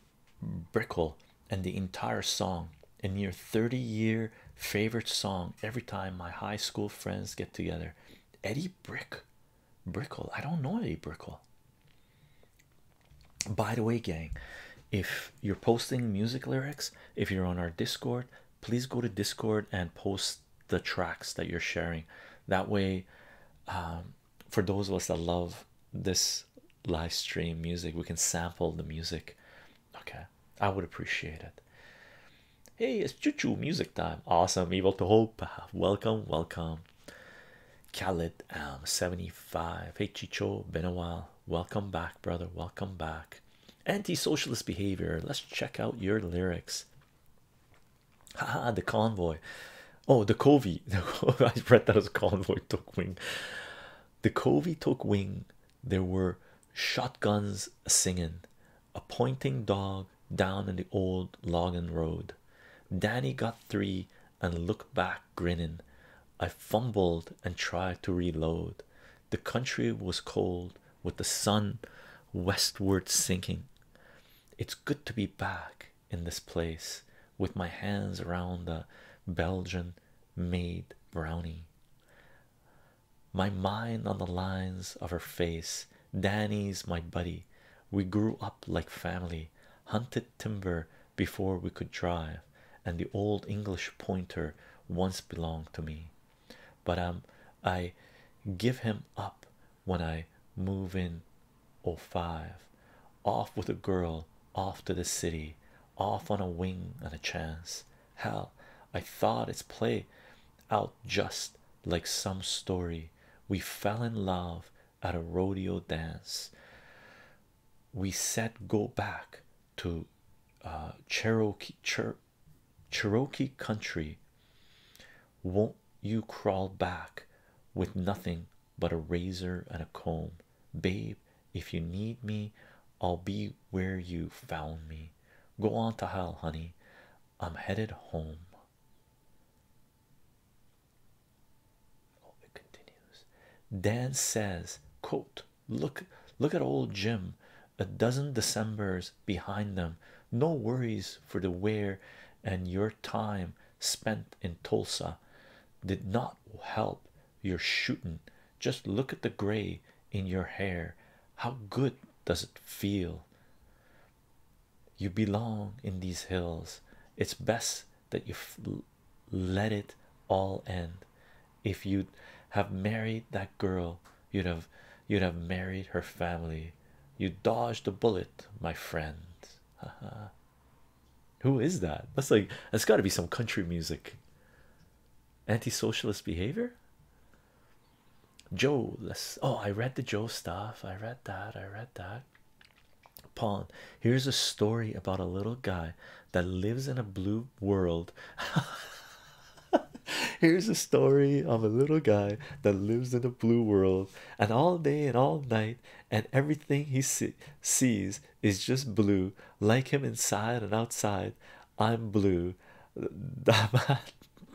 Brickell and the entire song, a near 30 year favorite song every time my high school friends get together. Eddie Brick Brickle. I don't know any Brickle. By the way, gang, if you're posting music lyrics, if you're on our Discord, please go to Discord and post the tracks that you're sharing. That way, um, for those of us that love this live stream music, we can sample the music. Okay, I would appreciate it. Hey, it's choo choo music time. Awesome, evil to hope. Welcome, welcome. Khaled um 75 hey Chicho been a while welcome back brother welcome back anti-socialist behavior let's check out your lyrics Ha ha. the convoy oh the covey I read that as convoy took wing the covey took wing there were shotguns singing a pointing dog down in the old logging road Danny got three and looked back, grinning. I fumbled and tried to reload. The country was cold with the sun westward sinking. It's good to be back in this place with my hands around the Belgian made brownie. My mind on the lines of her face Danny's my buddy. We grew up like family, hunted timber before we could drive, and the old English pointer once belonged to me. But um, I give him up when I move in oh five. Off with a girl, off to the city, off on a wing and a chance. Hell, I thought it's play out just like some story. We fell in love at a rodeo dance. We said go back to uh, Cherokee country. Won't you crawl back with nothing but a razor and a comb, babe? If you need me, I'll be where you found me. Go on to hell, honey. I'm headed home. Oh, Dan says, quote, look, look at old Jim, a dozen Decembers behind them. No worries for the wear and your time spent in Tulsa did not help your shooting. Just look at the gray in your hair. How good does it feel? you belong in these hills. It's best that you let it all end. If you'd have married that girl, you'd have you'd have married her family. You dodged a bullet, my friend. Who is that? That's like that's got to be some country music. Anti-socialist behavior. Joe, let's. Oh, I read the Joe stuff. I read that. I read that. Pawn. Here's a story about a little guy that lives in a blue world. Here's a story of a little guy that lives in a blue world, and all day and all night, and everything he see sees is just blue, like him inside and outside. I'm blue. Da ba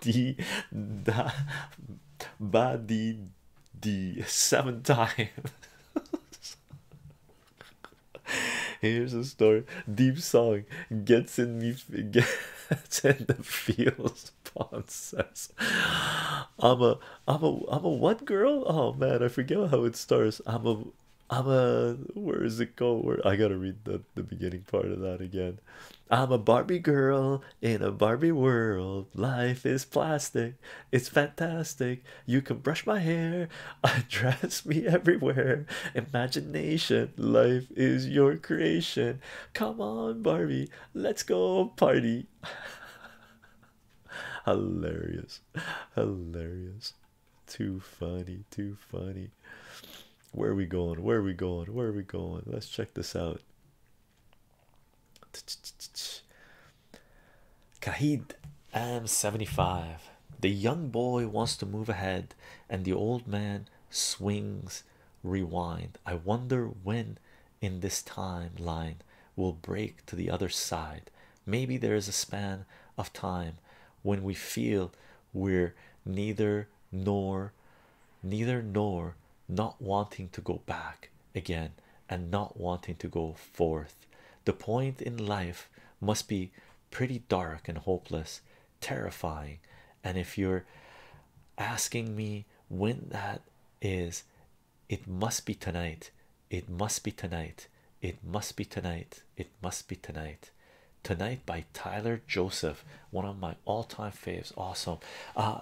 di da ba di the seventh time. Here's a story. Deep song gets in me gets in the feels. Pond "I'm a, I'm a, I'm a what girl? Oh man, I forget how it starts. I'm a, I'm a. Where is it go? Where I gotta read the the beginning part of that again. I'm a Barbie girl in a Barbie world, life is plastic. It's fantastic. You can brush my hair. I dress me everywhere. Imagination. Life is your creation. Come on, Barbie. Let's go party. hilarious. Hilarious. Too funny. Too funny. Where are we going? Where are we going? Where are we going? Let's check this out. Kahid M75. The young boy wants to move ahead, and the old man swings rewind. I wonder when in this timeline will break to the other side. Maybe there is a span of time when we feel we're neither nor neither nor not wanting to go back again and not wanting to go forth. The point in life must be pretty dark and hopeless, terrifying. And if you're asking me when that is, it must be tonight. It must be tonight. It must be tonight. It must be tonight. Tonight by Tyler Joseph, one of my all-time faves. Awesome. Uh,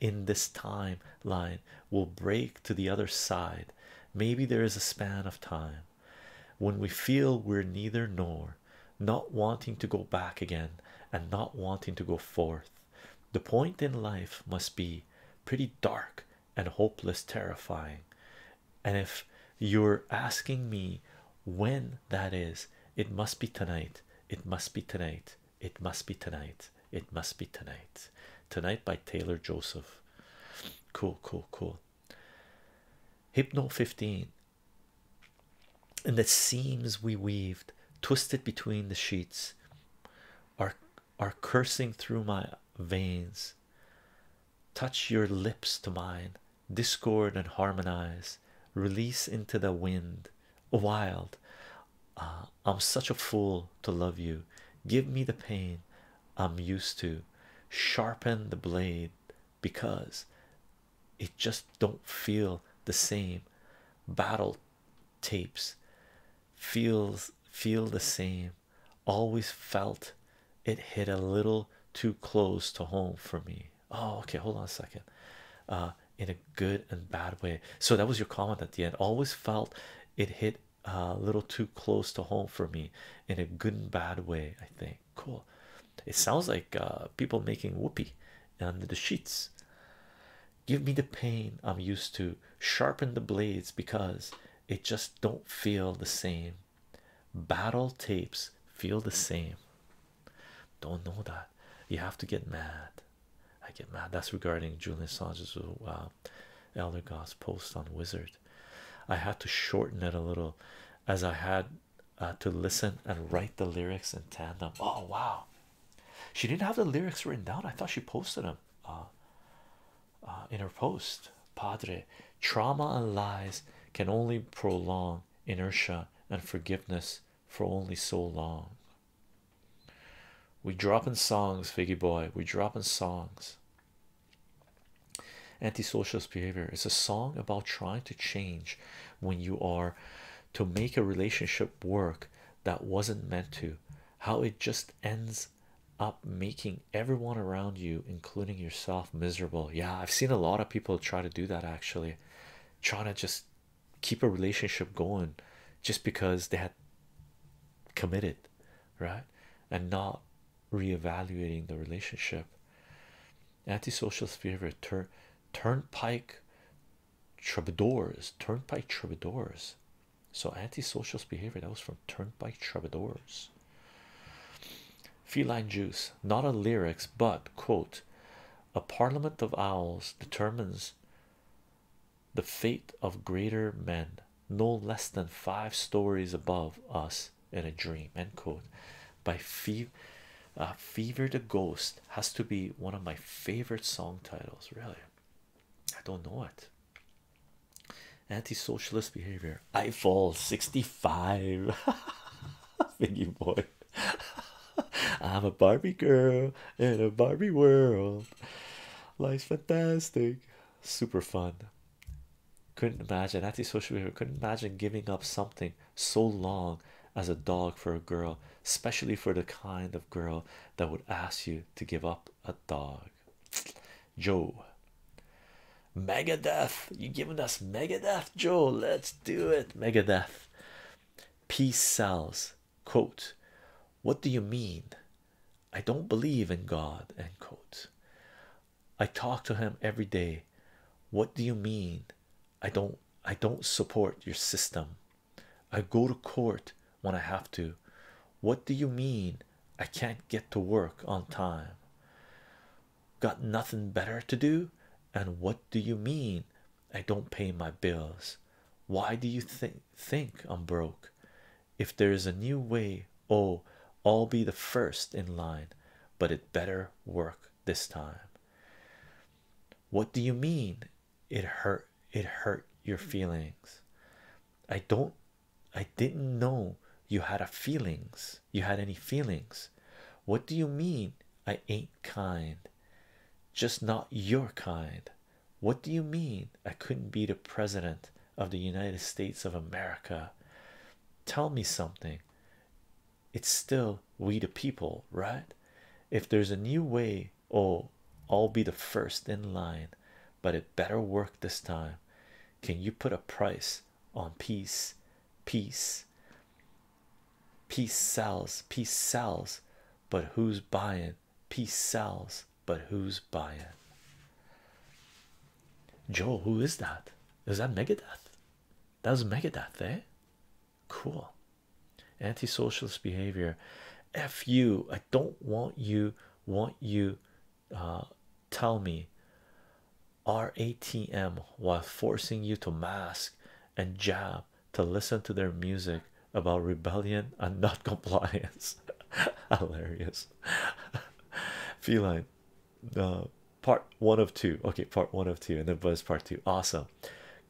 in this timeline will break to the other side. Maybe there is a span of time when we feel we're neither nor, not wanting to go back again and not wanting to go forth. The point in life must be pretty dark and hopeless, terrifying. And if you're asking me when that is, it must be tonight. It must be tonight. It must be tonight. It must be tonight. Tonight by Taylor Joseph. Cool, cool, cool. Hypno 15. And the seams we weaved, twisted between the sheets, are are cursing through my veins. Touch your lips to mine, discord and harmonize, release into the wind, wild. Ah, I'm such a fool to love you. Give me the pain I'm used to. Sharpen the blade because it just don't feel the same. Battle tapes feels feel the same. Always felt it hit a little too close to home for me. Oh, okay, hold on a second. Uh, in a good and bad way. So that was your comment at the end. Always felt it hit a little too close to home for me in a good and bad way. I think cool. It sounds like uh, people making whoopee under the sheets. Give me the pain I'm used to. Sharpen the blades because it just don't feel the same. Battle tapes feel the same. Don't know that you have to get mad. I get mad. That's regarding Julian Assange's uh, uh Elder God's post on Wizard. I had to shorten it a little as I had uh, to listen and write the lyrics in tandem. Oh, wow. She didn't have the lyrics written down. I thought she posted them uh, in her post. Padre, trauma and lies can only prolong inertia and forgiveness for only so long. We drop in songs, Figgy boy. We drop in songs. Antisocialist behavior. It's a song about trying to change when you are to make a relationship work that wasn't meant to. How it just ends up making everyone around you, including yourself, miserable. Yeah, I've seen a lot of people try to do that actually, trying to just keep a relationship going just because they had committed right and not re-evaluating the relationship antisocial's favorite tur turnpike troubadours turnpike troubadours so antisocial's behavior that was from turnpike troubadours feline juice not a lyrics but quote a parliament of owls determines the fate of greater men no less than five stories above us in a dream end quote by fever uh, fever the ghost has to be one of my favorite song titles really i don't know it anti-socialist behavior i fall 65 thingy boy i'm a barbie girl in a barbie world life's fantastic super fun couldn't imagine anti-social behavior couldn't imagine giving up something so long as a dog for a girl especially for the kind of girl that would ask you to give up a dog joe megadeth you giving us megadeth joe let's do it megadeth peace sells quote what do you mean i don't believe in god end quote i talk to him every day what do you mean i don't i don't support your system i go to court when i have to what do you mean i can't get to work on time got nothing better to do and what do you mean i don't pay my bills why do you think think i'm broke if there is a new way, oh, I'll be the first in line, but it better work this time. What do you mean? It hurt, it hurt your feelings. I don't, I didn't know you had a feelings, you had any feelings. What do you mean? I ain't kind, just not your kind. What do you mean? I couldn't be the president of the United States of America. Tell me something. It's still we the people, right? If there's a new way, oh, I'll be the first in line, but it better work this time. Can you put a price on peace? Peace, peace sells, peace sells, but who's buying? Peace sells but who's buying? Joe, who is that? Is that Megadeth? That was Megadeth, eh? Cool. Anti-socialist behavior. F you. I don't want you. Want you? Uh, tell me. RATM while forcing you to mask and jab to listen to their music about rebellion and not compliance. hilarious feline uh, part one of two okay part one of two and then buzz part two awesome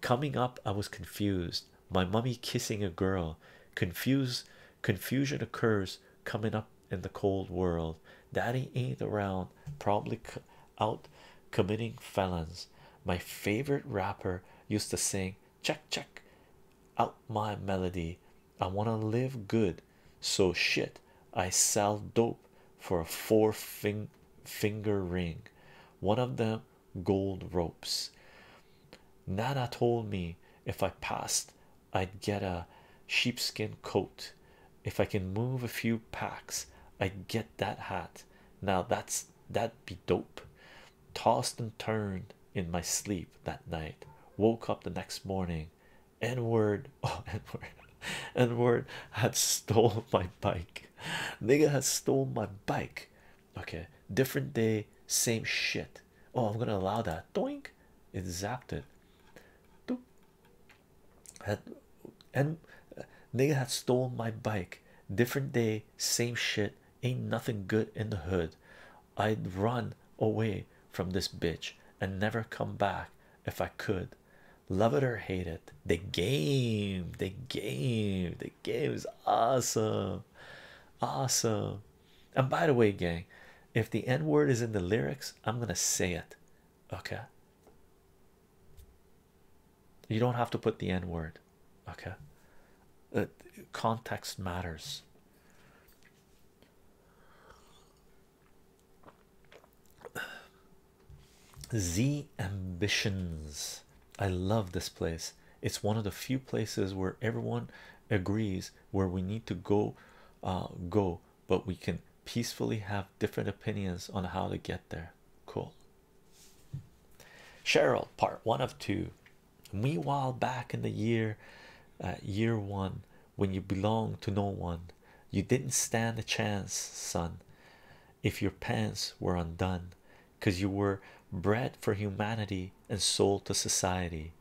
coming up i was confused my mummy kissing a girl confused confusion occurs coming up in the cold world daddy ain't around probably out committing felons my favorite rapper used to sing check check out my melody I want to live good, so shit. I sell dope for a four fing finger ring, one of them gold ropes. Nana told me if I passed, I'd get a sheepskin coat. If I can move a few packs, I'd get that hat. Now that's that'd be dope tossed and turned in my sleep that night woke up the next morning n-word oh n-word n-word had stole my bike nigga had stole my bike okay different day same shit oh i'm gonna allow that doink it zapped it Doop. had and uh, nigga had stole my bike different day same shit ain't nothing good in the hood I'd run away from this bitch and never come back if I could. Love it or hate it, the game, the game, the game is awesome, awesome. And by the way, gang, if the N word is in the lyrics, I'm gonna say it, okay? You don't have to put the N word, okay? Uh, context matters. Z ambitions. I love this place. It's one of the few places where everyone agrees where we need to go uh, go, but we can peacefully have different opinions on how to get there. Cool. Cheryl, part one of two meanwhile back in the year uh, year one when you belonged to no one you didn't stand a chance son if your pants were undone because you were bred for humanity and sold to society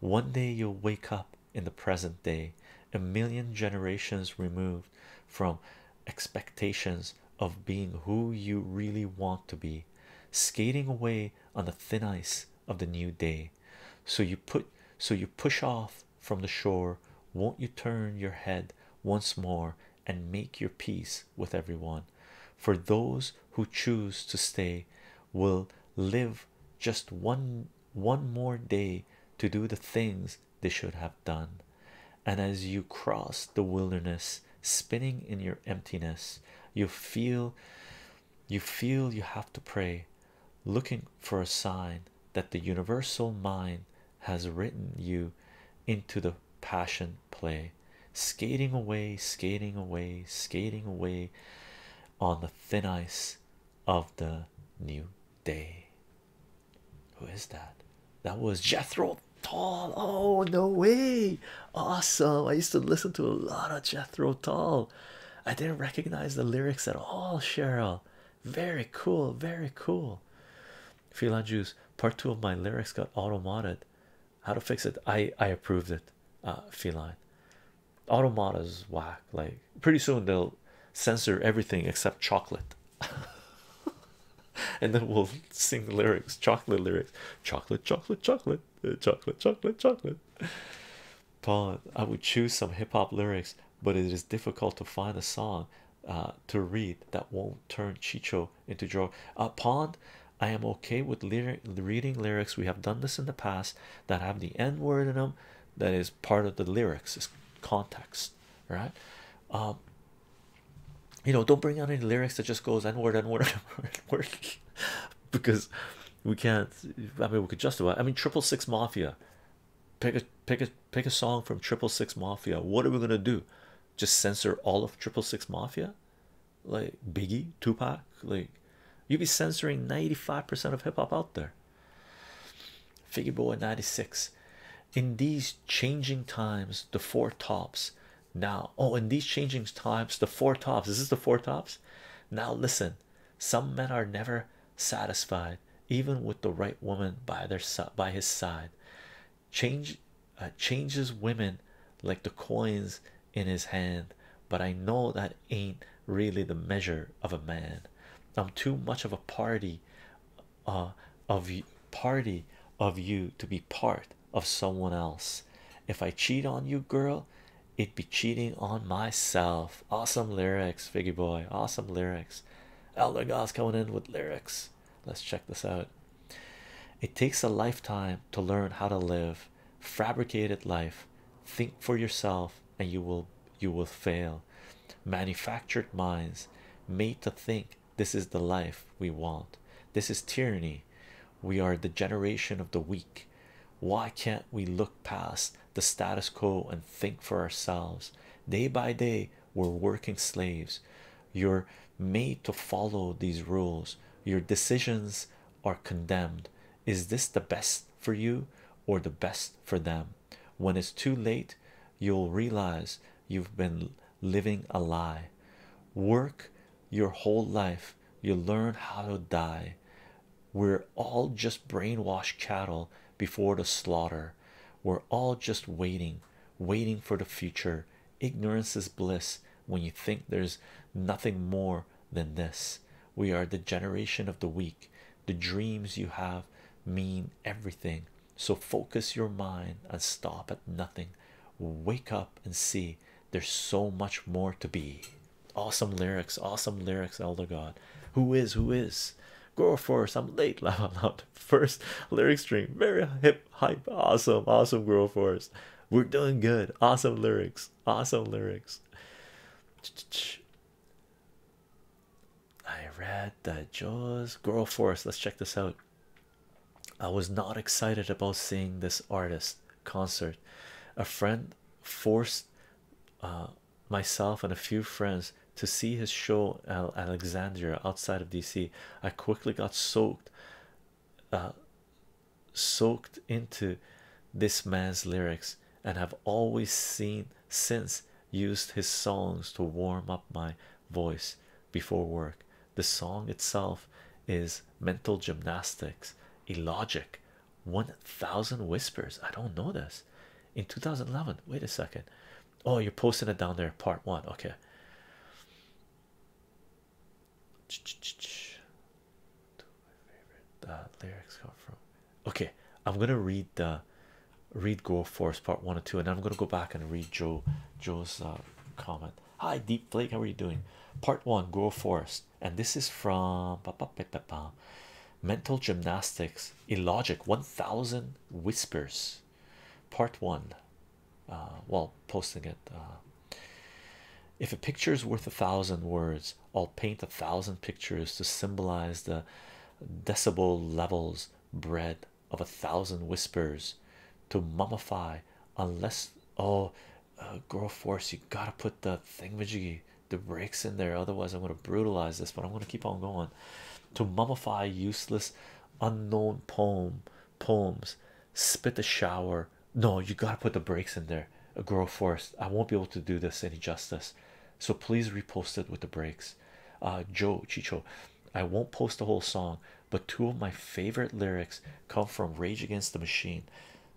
one day you'll wake up in the present day a million generations removed from expectations of being who you really want to be skating away on the thin ice of the new day so you put so you push off from the shore won't you turn your head once more and make your peace with everyone for those who choose to stay will live just one one more day to do the things they should have done and as you cross the wilderness spinning in your emptiness you feel you feel you have to pray, looking for a sign that the universal mind has written you into the passion play, skating away, skating away, skating away on the thin ice of the new day. Who is that? That was Jethro Tall. Oh, no way! Awesome. I used to listen to a lot of Jethro Tull. I didn't recognize the lyrics at all, Cheryl. Very cool, very cool. Feline Juice, part two of my lyrics got automated. How to fix it? I I approved it. Uh feline. is whack. Like pretty soon they'll censor everything except chocolate. and then we'll sing lyrics, chocolate lyrics, chocolate, chocolate, chocolate chocolate, chocolate, chocolate. Pond. I would choose some hip hop lyrics, but it is difficult to find a song uh, to read that won't turn Chicho into Joe. Uh, Pond, I am okay with lyric reading lyrics. We have done this in the past that have the N word in them. That is part of the lyrics. Is context, right? Um, you know, don't bring out any lyrics that just goes N word, N word, N word, N word, because we can't i mean we could justify i mean triple six mafia pick a pick a pick a song from triple six mafia what are we gonna do just censor all of triple six mafia like biggie tupac like you'd be censoring 95 percent of hip-hop out there figure boy 96 in these changing times the four tops now oh in these changing times the four tops is this the four tops now listen some men are never satisfied, even with the right woman by their by his side. Change uh, changes women like the coins in his hand, but I know that ain't really the measure of a man. I'm too much of a party, uh, of party of you to be part of someone else. If I cheat on you, girl, it'd be cheating on myself. Awesome lyrics, Figgy Boy. Awesome lyrics. Elder God's coming in with lyrics. Let's check this out. It takes a lifetime to learn how to live. Fabricated life. Think for yourself, and you will you will fail. Manufactured minds made to think this is the life we want. This is tyranny we are the generation of the weak. Why can't we look past the status quo and think for ourselves? Day by day, we're working slaves. You're made to follow these rules. Your decisions are condemned. Is this the best for you or the best for them? When it's too late, you'll realize you've been living a lie. Work your whole life, you learn how to die. We're all just brainwashed cattle before the slaughter. We're all just waiting, waiting for the future. Ignorance is bliss when you think there's nothing more than this. We are the generation of the weak. The dreams you have mean everything. So focus your mind and stop at nothing. Wake up and see there's so much more to be awesome lyrics awesome lyrics elder god who is who is go for some late lava out first lyric stream very hip hype awesome awesome grow force we're doing good awesome lyrics awesome lyrics i read that jaws grow force let's check this out i was not excited about seeing this artist concert a friend forced uh, myself and a few friends to see his show at Alexandria outside of DC. I quickly got soaked, uh, soaked into this man's lyrics, and have always seen since used his songs to warm up my voice before work. The song itself is mental gymnastics, illogic, 1000 whispers i don't know this in 2011 wait a second oh you're posting it down there part one okay Ch -ch -ch -ch. My lyrics come from okay i'm gonna read the read go forest part one and two and i'm gonna go back and read joe joe's uh, comment hi deepflake. how are you doing part one go forest and this is from Mental Gymnastics Illogic 1000 Whispers, Part 1. Uh, while posting it. Uh, if a picture is worth a thousand words, I'll paint a thousand pictures to symbolize the decibel levels bred of a thousand whispers to mummify, unless oh, uh, girl force you gotta put the thingamajiggy the breaks in there otherwise i'm going to brutalize this but i'm going to keep on going to mummify useless unknown poem poems spit the shower no you gotta put the breaks in there uh, girl force i won't be able to do this any justice so please repost it with the breaks. uh joe chicho i won't post the whole song but two of my favorite lyrics come from rage against the machine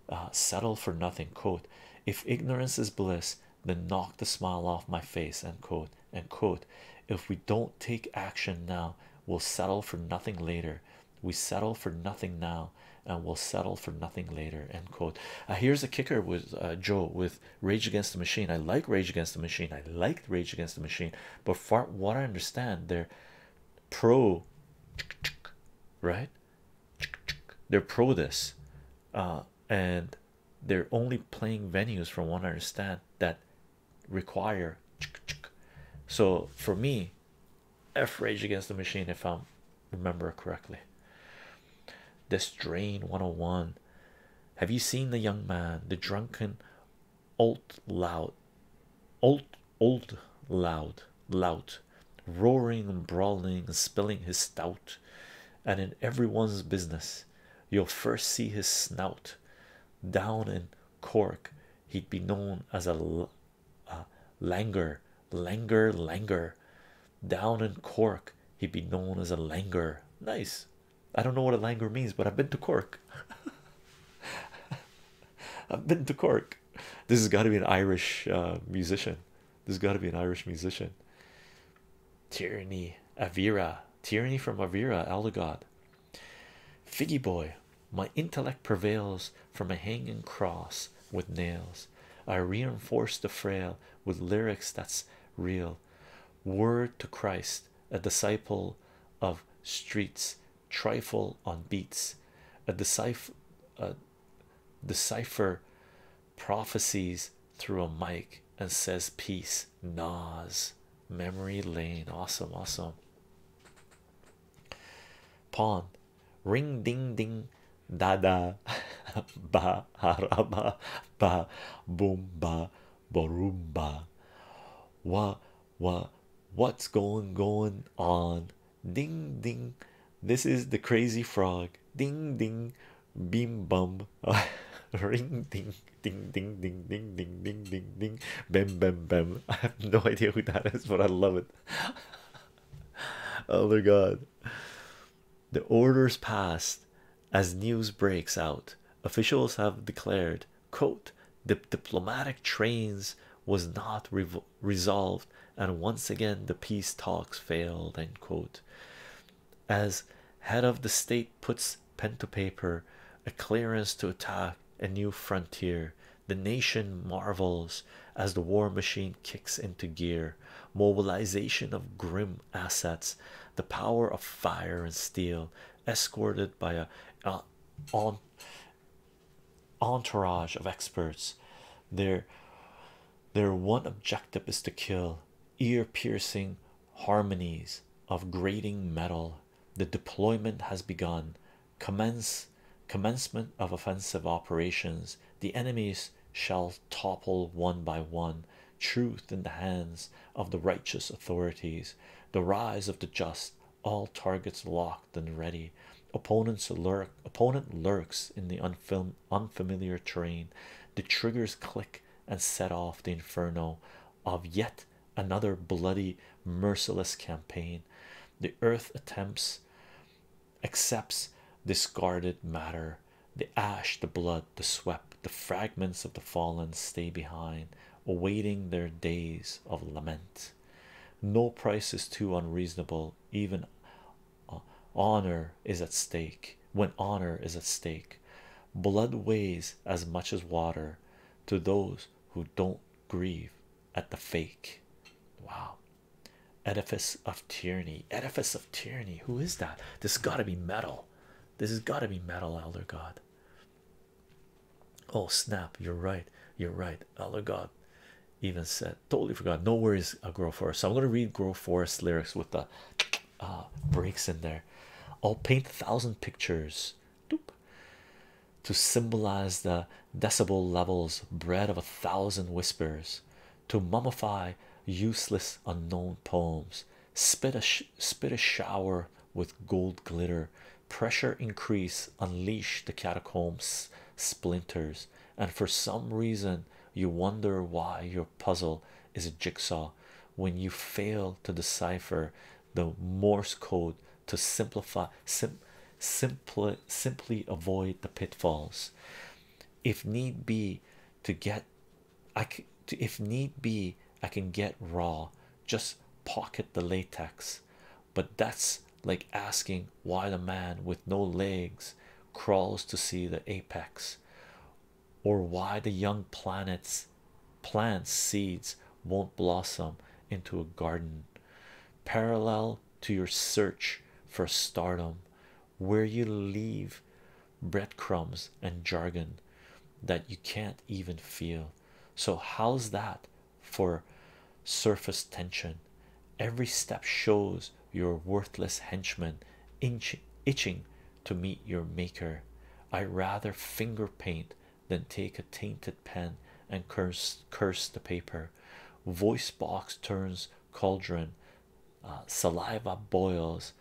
uh, settle for nothing quote if ignorance is bliss then knock the smile off my face End quote End quote if we don't take action now we'll settle for nothing later we settle for nothing now and we'll settle for nothing later end quote uh, here's a kicker with uh, joe with rage against the machine i like rage against the machine i like rage against the machine but far what i understand they're pro right they're pro this, uh, and they're only playing venues from what I understand that require. So for me, F Rage Against the Machine, if I remember correctly. This drain 101. Have you seen the young man, the drunken, old loud, old old loud lout, roaring and brawling and spilling his stout, and in everyone's business. You'll first see his snout. Down in Cork, he'd be known as a, langer, langer, langer. Down in Cork, he'd be known as a langer. Nice. I don't know what a langer means, but I've been to Cork. I've been to Cork. This has got to be an Irish uh, musician. There's got to be an Irish musician. Tyranny, Avira, Tyranny from Avira, Allegod. Figgy boy, my intellect prevails from a hanging cross with nails. I reinforce the frail with lyrics that's real. Word to Christ, a disciple of streets, trifle on beats, a decipher prophecies through a mic and says peace nas memory lane awesome awesome pawn ring ding ding da da ba haraba ba boom ba barumba wa wa what's going going on ding ding this is the crazy frog ding ding bim bum ring ding ding ding ding ding ding ding ding ding bam bam bam i have no idea who that is but i love it oh my god the orders passed as news breaks out officials have declared quote the diplomatic trains was not resolved and once again the peace talks failed as head of the state puts pen to paper a clearance to attack a new frontier the nation marvels as the war machine kicks into gear mobilization of grim assets the power of fire and steel escorted by an entourage of experts their their one objective is to kill ear-piercing harmonies of grating metal the deployment has begun commence commencement of offensive operations the enemies shall topple one by one truth in the hands of the righteous authorities the rise of the just all targets locked and ready opponents lurk opponent lurks in the unfilm unfamiliar terrain. The triggers click and set off the inferno of yet another bloody, merciless campaign. The earth attempts, accepts discarded matter. The ash, the blood, the swept, the fragments of the fallen stay behind, awaiting their days of lament. No price is too unreasonable, even honor is at stake when honor is at stake blood weighs as much as water to those who don't grieve at the fake wow edifice of tyranny edifice of tyranny who is that this got to be metal this has got to be metal elder god oh snap you're right you're right elder god even said totally forgot no worries uh, grow forest so i'm going to read grow forest lyrics with the uh, breaks in there i'll paint a thousand pictures Doop. to symbolize the decibel levels bred of a thousand whispers to mummify useless unknown poems spit a spit a shower with gold glitter pressure increase unleash the catacombs splinters and for some reason, you wonder why your puzzle is a jigsaw when you fail to decipher the Morse code to simplify, simply, avoid the pitfalls. If need be, to get, if need be, I can get raw, just pocket the latex. But that's like asking why the man with no legs crawls to see the apex, or why the young planets plants seeds won't blossom into a garden. Parallel to your search for stardom, where you leave breadcrumbs and jargon that you can't even feel. So, how's that for surface tension? Every step shows your worthless henchman inch itching to meet your maker. I rather finger paint than take a tainted pen and curse curse the paper. Voice box turns cauldron, uh, saliva boils,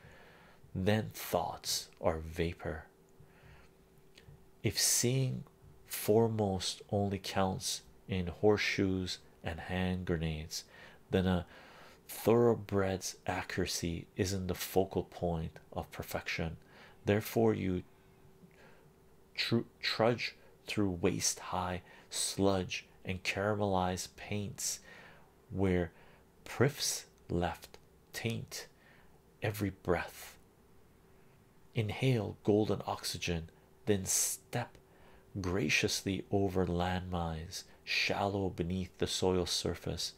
then thoughts are vapor. If seeing foremost only counts in horseshoes and hand grenades, then a thoroughbred's accuracy isn't the focal point of perfection. Therefore, you trudge through waist high sludge and caramelized paints where priffs left taint every breath. Inhale golden oxygen, then step graciously over landmines shallow beneath the soil surface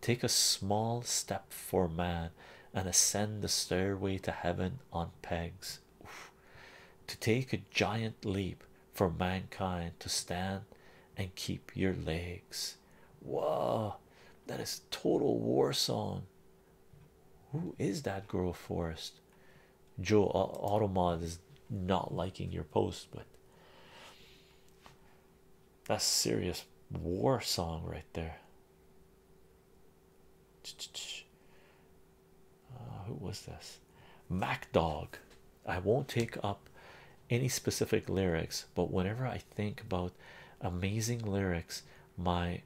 take a small step for man and ascend the stairway to heaven on pegs to take a giant leap for mankind to stand and keep your legs whoa that is total war song who is that girl forest Joe uh, Automod is not liking your post, but that's serious war song right there. Uh, who was this? Mac Dog. I won't take up any specific lyrics, but whenever I think about amazing lyrics, my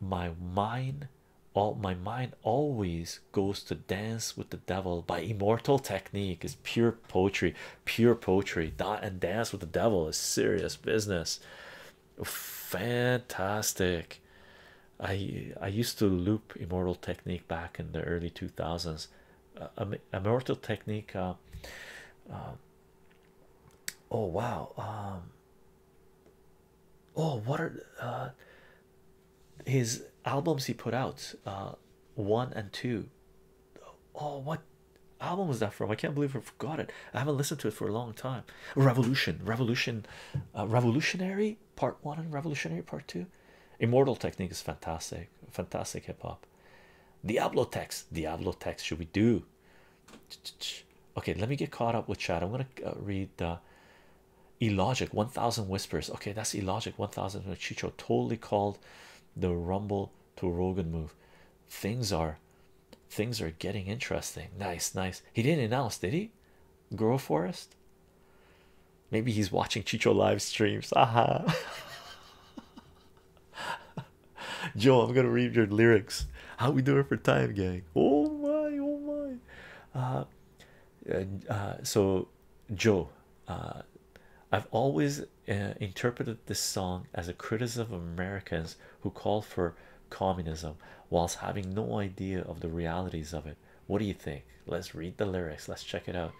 my mind all my mind always goes to dance with the devil by immortal technique is pure poetry pure poetry dot and dance with the devil is serious business fantastic i i used to loop immortal technique back in the early 2000s uh, um, immortal technique uh, uh, oh wow um, oh what are his albums he put out uh, one and two. Oh, what album was that from? I can't believe I forgot it. I haven't listened to it for a long time. Revolution, Revolution, uh, Revolutionary Part One and Revolutionary Part Two. Immortal Technique is fantastic, fantastic hip hop. Diablo Text, Diablo Text, should we do? Okay, let me get caught up with chat. I'm gonna uh, read the. Illogic, 1000 whispers. Okay, that's illogic. 1000. Chicho totally called the Rumble to Rogan move. Things are things are getting interesting. Nice, nice. He didn't announce, did he? Grow Forest. Maybe he's watching Chicho live streams. Aha. Joe, I'm gonna read your lyrics. How we doing for time, gang? Oh my, oh my. Uh, uh, so Joe, uh, I've always uh, interpreted this song as a criticism of Americans who call for communism whilst having no idea of the realities of it. What do you think? Let's read the lyrics, let's check it out.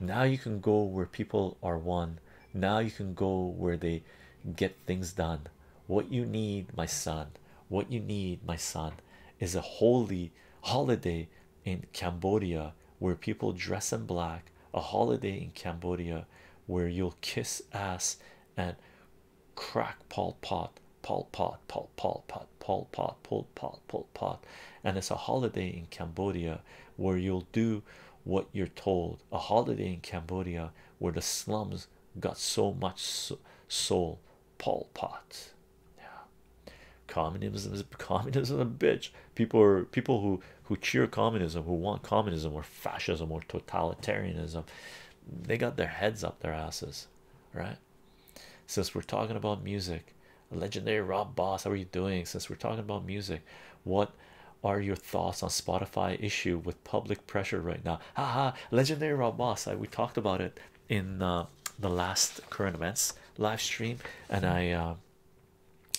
Now you can go where people are one, now you can go where they get things done. What you need, my son, what you need, my son, is a holy holiday in Cambodia where people dress in black, a holiday in Cambodia where you'll kiss ass and crack Pol Pot, Pol Pot, Pol Pol Pot, Pol Pot, Pol Pot, Pol Pot, and it's a holiday in Cambodia where you'll do what you're told. A holiday in Cambodia where the slums got so much soul, Paul Pot. Yeah. Communism is communism is a bitch. People are people who who cheer communism, who want communism or fascism or totalitarianism. They got their heads up their asses, right? Since we're talking about music, legendary Rob Boss, how are you doing? Since we're talking about music, what are your thoughts on Spotify issue with public pressure right now? Haha, legendary Rob Boss. I, we talked about it in uh, the last current events live stream, and I uh,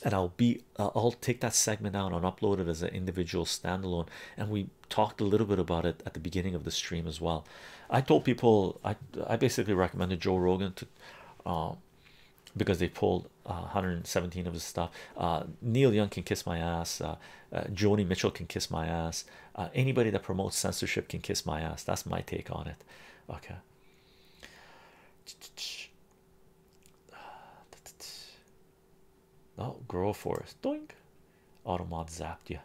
and I'll be uh, I'll take that segment out and upload it as an individual standalone. And we talked a little bit about it at the beginning of the stream as well. I told people I I basically recommended Joe Rogan to. because they pulled 117 of his stuff. Neil Young can kiss my ass. Joni Mitchell can kiss my ass. anybody that promotes censorship can kiss my ass. That's my take on it. Okay. Oh, girl, forest. Doink. Automod zapped ya.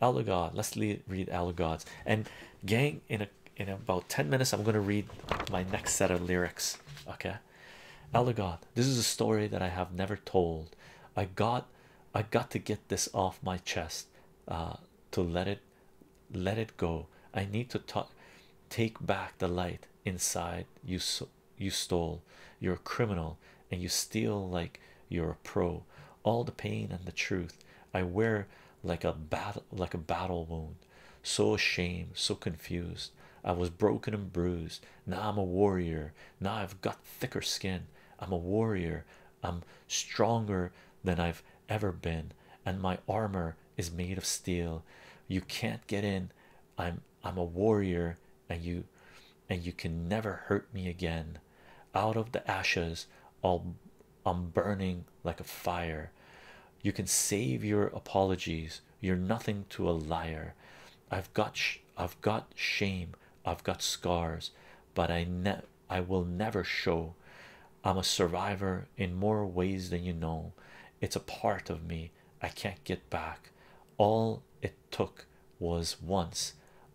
Alugod. Let's read Alugods. And gang, in a in about 10 minutes, I'm gonna read my next set of lyrics. Okay. Alugod. This is a story that I have never told. I got I got to get this off my chest uh to let it let it go i need to take back the light inside you you stole you're a criminal and you steal like you're a pro all the pain and the truth i wear like a battle like a battle wound so ashamed so confused i was broken and bruised now i'm a warrior now i've got thicker skin i'm a warrior I'm stronger than I've ever been, and my armor is made of steel. You can't get in. I'm I'm a warrior, and you and you can never hurt me again. Out of the ashes, I'll, I'm burning like a fire. You can save your apologies. You're nothing to a liar. I've got I've got shame. I've got scars, but I ne I will never show. I'm a survivor in more ways than you know. It's a part of me I can't get back. All it took was once.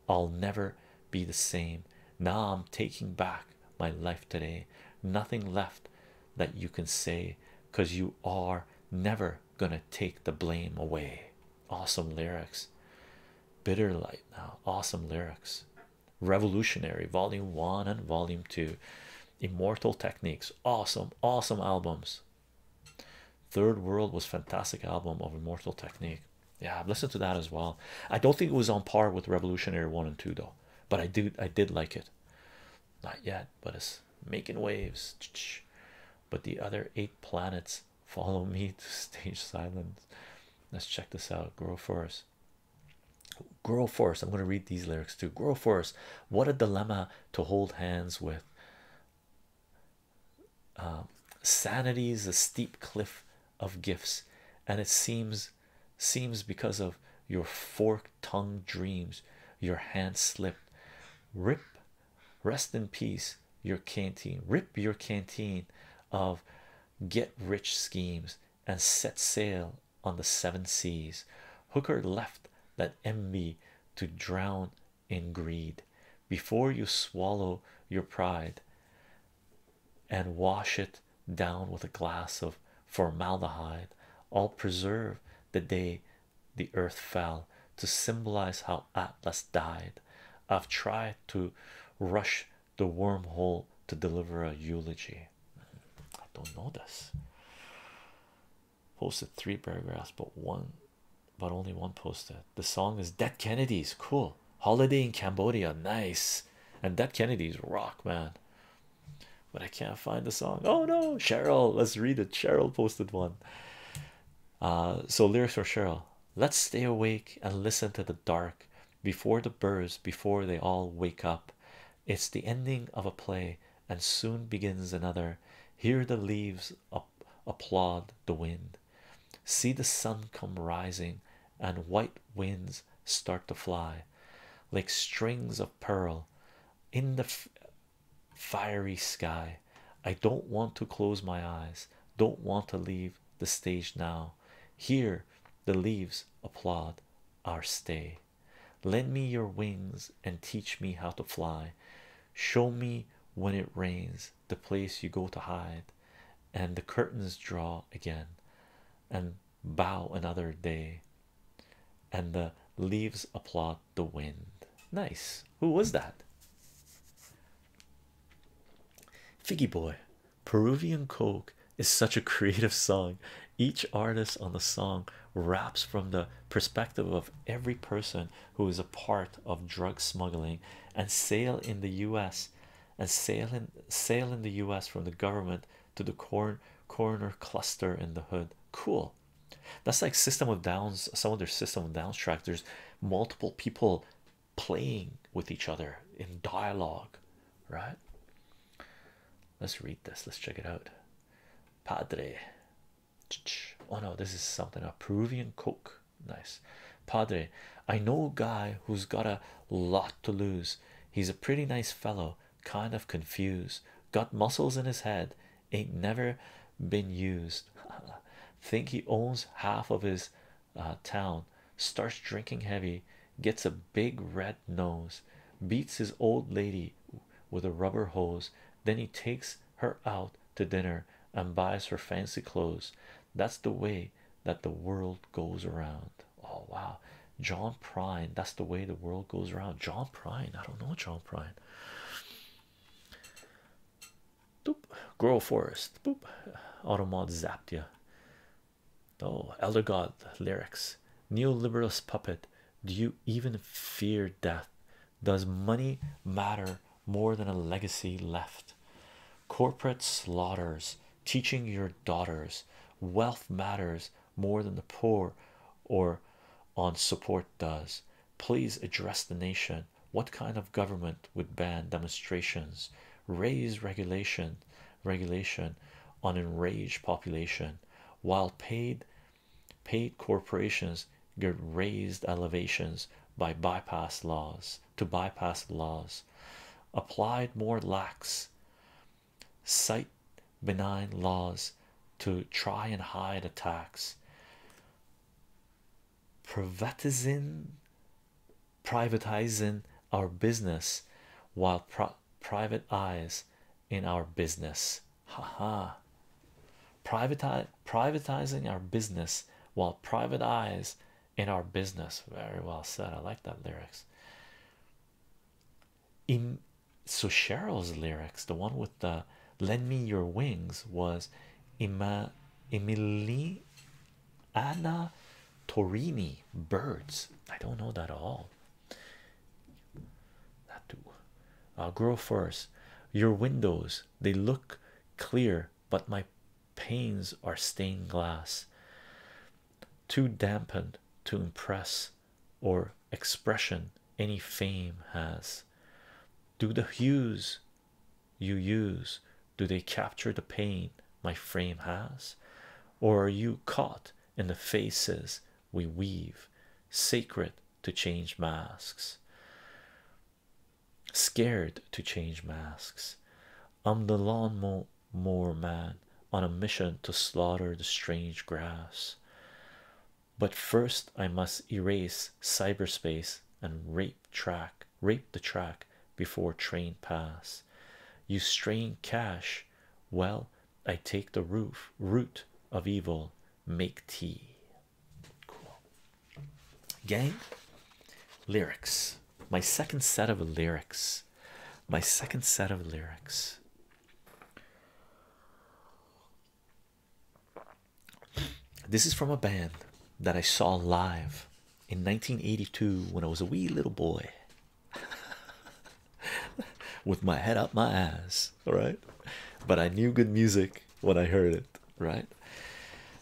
I'll never be the same. Now I'm taking back my life today. Nothing left that you can say because you are never gonna take the blame away. Awesome lyrics. Bitter light now. Awesome lyrics. Revolutionary Volume 1 and Volume 2, Immortal Techniques, awesome, awesome albums. Third World was fantastic album of Immortal Technique. Yeah, I've listened to that as well. I don't think it was on par with Revolutionary 1 and 2 though, but I do I did like it. Not yet, but it's making waves. But the other eight planets follow me to stage silence. Let's check this out. Grow for us. Grow for I'm going to read these lyrics too. Grow for What a dilemma to hold hands with. Um, Sanity's a steep cliff of gifts, and it seems seems because of your fork tongue dreams, your hands slip. Rip, rest in peace. Your canteen. Rip your canteen of get rich schemes and set sail on the seven seas. Hooker left that envy to drown in greed. Before you swallow your pride and wash it down with a glass of formaldehyde, I'll preserve the day the earth fell to symbolize how Atlas died. I've tried to rush the wormhole to deliver a eulogy. I don't know this. Posted three paragraphs, but one, but only one posted. The song is Dead Kennedys. Cool. Holiday in Cambodia. Nice. And Dead Kennedys rock, man. But I can't find the song. Oh no, Cheryl. Let's read it. Cheryl posted one. Uh, so lyrics for Cheryl. Let's stay awake and listen to the dark before the birds before they all wake up it's the ending of a play and soon begins another hear the leaves applaud the wind see the sun come rising and white winds start to fly like strings of pearl in the fiery sky i don't want to close my eyes don't want to leave the stage now Hear the leaves applaud our stay. Lend me your wings and teach me how to fly. Show me when it rains the place you go to hide, and the curtains draw again, and bow another day, and the leaves applaud the wind. Nice. Who was that? Figgy boy, Peruvian Coke is such a creative song. Each artist on the song raps from the perspective of every person who is a part of drug smuggling and sale in the US and sale in sale in the US from the government to the corn corner cluster in the hood. Cool. That's like System of Downs, some of their System of Downs tracks. There's multiple people playing with each other in dialogue right? Let's read this. Let's check it out. Padre. Oh no, this is something a Peruvian cook. Nice. Padre, I know a guy who's got a lot to lose. He's a pretty nice fellow, kind of confused, got muscles in his head, ain't never been used. Think he owns half of his uh, town, starts drinking heavy, gets a big red nose, beats his old lady with a rubber hose, then he takes her out to dinner and buys her fancy clothes. That's the way that the world goes around. Oh wow, John Prine. That's the way the world goes around. John Prine. I don't know John Prine. Boop. Grow Forest. Boop. Automod zapped you. Oh, Elder God lyrics, neoliberalist puppet. Do you even fear death? Does money matter more than a legacy left? Corporate slaughters, teaching your daughters, wealth matters more than the poor or on support does. Please address the nation. What kind of government would ban demonstrations? Raise regulation regulation on enraged population while paid paid corporations get raised elevations by bypass laws to bypass laws applied more lax sight benign laws to try and hide attacks privatizing privatizing our business while private eyes in our business ha. privatize privatizing our business while private eyes in our business very well said i like that lyrics in so cheryl's lyrics the one with the lend me your wings was Ima, Emily Anna Torini birds I don't know that at all not to uh, grow first. Your windows they look clear, but my panes are stained glass, too dampened to impress or expression any fame has. Do the hues you use do they capture the pain my frame has, or are you caught in the faces we weave, sacred to change masks, scared to change masks. I'm the lawn mower man on a mission to slaughter the strange grass. But first, I must erase cyberspace and rape track, rape the track before train pass. You strain cash, well, I take the roof root of evil, make tea. Cool gang lyrics. My second set of lyrics. My second set of lyrics. This is from a band that I saw live in 1982 when I was a wee little boy. with my head up my ass, all right. But I knew good music when I heard it, right?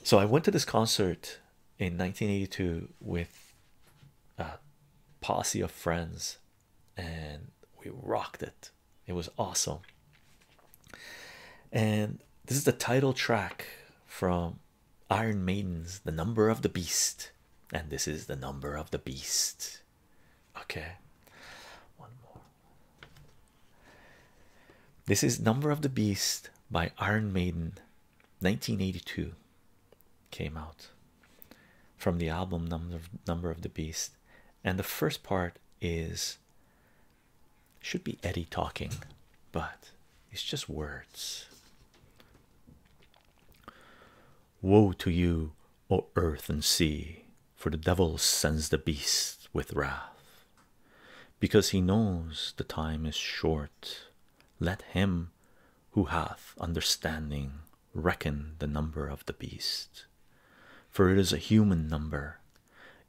So I went to this concert in 1982 with a uh, posse of friends, and we rocked it. It was awesome. And this is the title track from Iron Maiden's The Number of the Beast and this is the number of the beast. Okay, one more. This is Number of the Beast by Iron Maiden, 1982. Came out from the album Number Number of the Beast, and the first part is should be Eddie talking, but it's just words. Woe to you, O earth and sea, for the devil sends the beast with wrath. Because he knows the time is short, let him who hath understanding reckon the number of the beast, for it is a human number,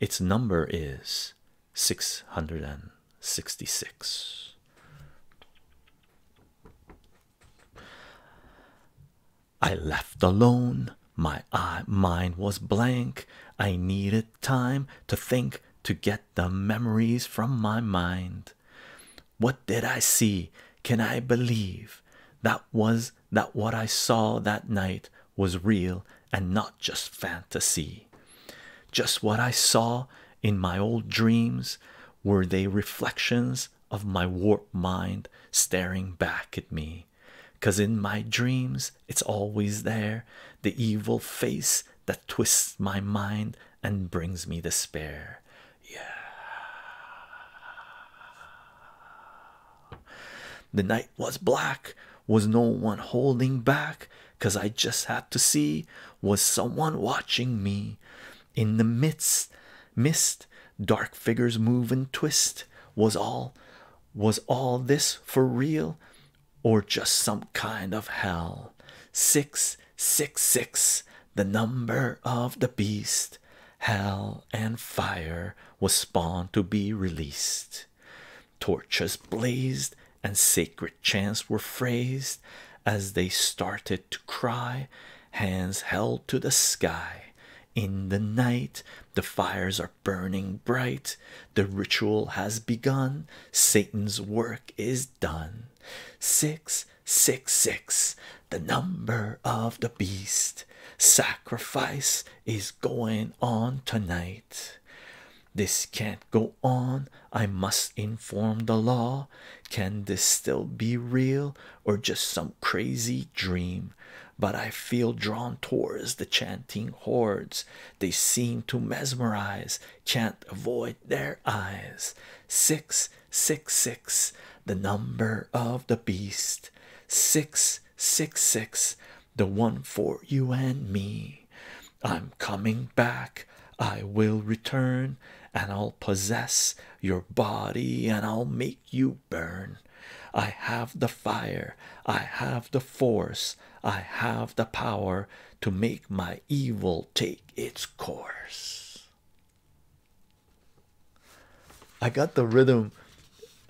its number is 666. I left alone, my mind was blank. I needed time to think to get the memories from my mind. What did I see? Can I believe that was that what I saw that night was real and not just fantasy? Just what I saw in my old dreams were they reflections of my warped mind staring back at me. Cause in my dreams, it's always there, the evil face that twists my mind and brings me despair. Yeah. The night was black, was no one holding back, cause I just had to see, was someone watching me? in the midst mist dark figures move and twist was all was all this for real or just some kind of hell 666 the number of the beast hell and fire was spawned to be released torches blazed and sacred chants were phrased as they started to cry, hands held to the sky. In the night, the fires are burning bright. The ritual has begun. Satan's work is done. 666, the number of the beast. Sacrifice is going on tonight. This can't go on. I must inform the law. Can this still be real? or just some crazy dream, but I feel drawn towards the chanting hordes. They seem to mesmerize, can't avoid their eyes. 666, the number of the beast. 666, the one for you and me. I'm coming back, I will return and I'll possess your body, and I'll make you burn. I have the fire, I have the force, I have the power to make my evil take its course. I got the rhythm,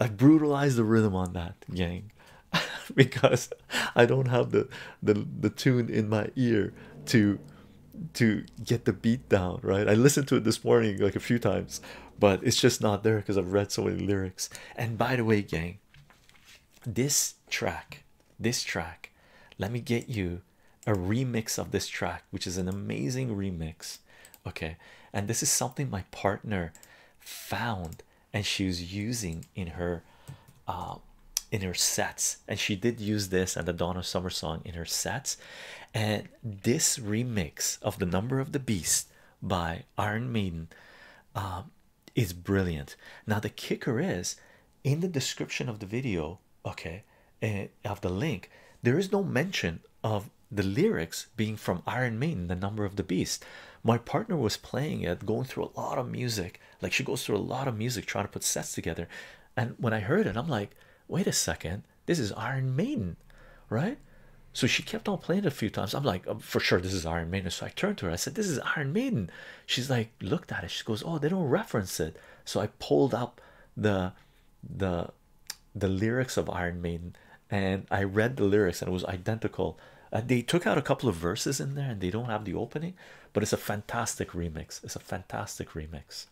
I brutalized the rhythm on that, gang. because I don't have the, the the tune in my ear to to get the beat down right i listened to it this morning like a few times but it's just not there because i've read so many lyrics and by the way gang this track this track let me get you a remix of this track which is an amazing remix okay and this is something my partner found and she was using in her uh, in her sets and she did use this and the dawn of summer song in her sets and this remix of the number of the beast by iron maiden um, is brilliant now the kicker is in the description of the video okay eh, of the link there is no mention of the lyrics being from iron maiden the number of the beast my partner was playing it going through a lot of music like she goes through a lot of music trying to put sets together and when i heard it i'm like wait a second, this is Iron Maiden, right? So she kept on playing a few times. I'm like, oh, for sure, this is Iron Maiden. So I turned to her, I said, This is Iron Maiden. She's like, looked at it. She goes, Oh, they don't reference it. So I pulled up the the the lyrics of Iron Maiden and I read the lyrics and it was identical. Uh, they took out a couple of verses in there and they don't have the opening, but it's a fantastic remix. It's a fantastic remix.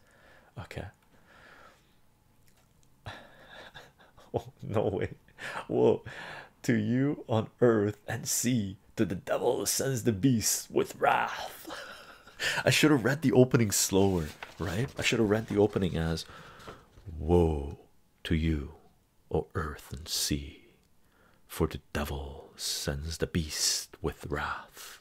Okay. oh no way! Woe to you on earth and sea, to the devil sends the beast with wrath. I should have read the opening slower, right? I should have read the opening as Woe to you, O earth and sea, for the devil sends the beast with wrath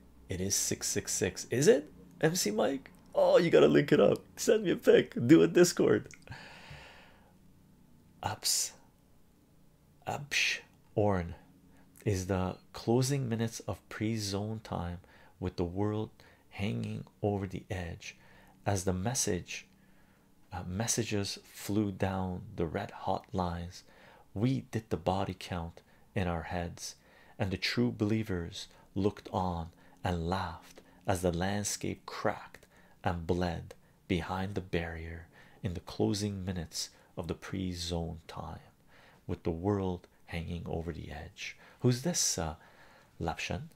It is 666. Is it? MC Mike? Oh, you gotta link it up. Send me a pic. Do a Discord. Ups. Upsh Orn is the closing minutes of pre-zone time with the world hanging over the edge as the message uh, messages flew down the red hot lines we did the body count in our heads and the true believers looked on and laughed as the landscape cracked and bled behind the barrier in the closing minutes of the pre-zone time, with the world hanging over the edge. Who's this? Uh, Lapshan.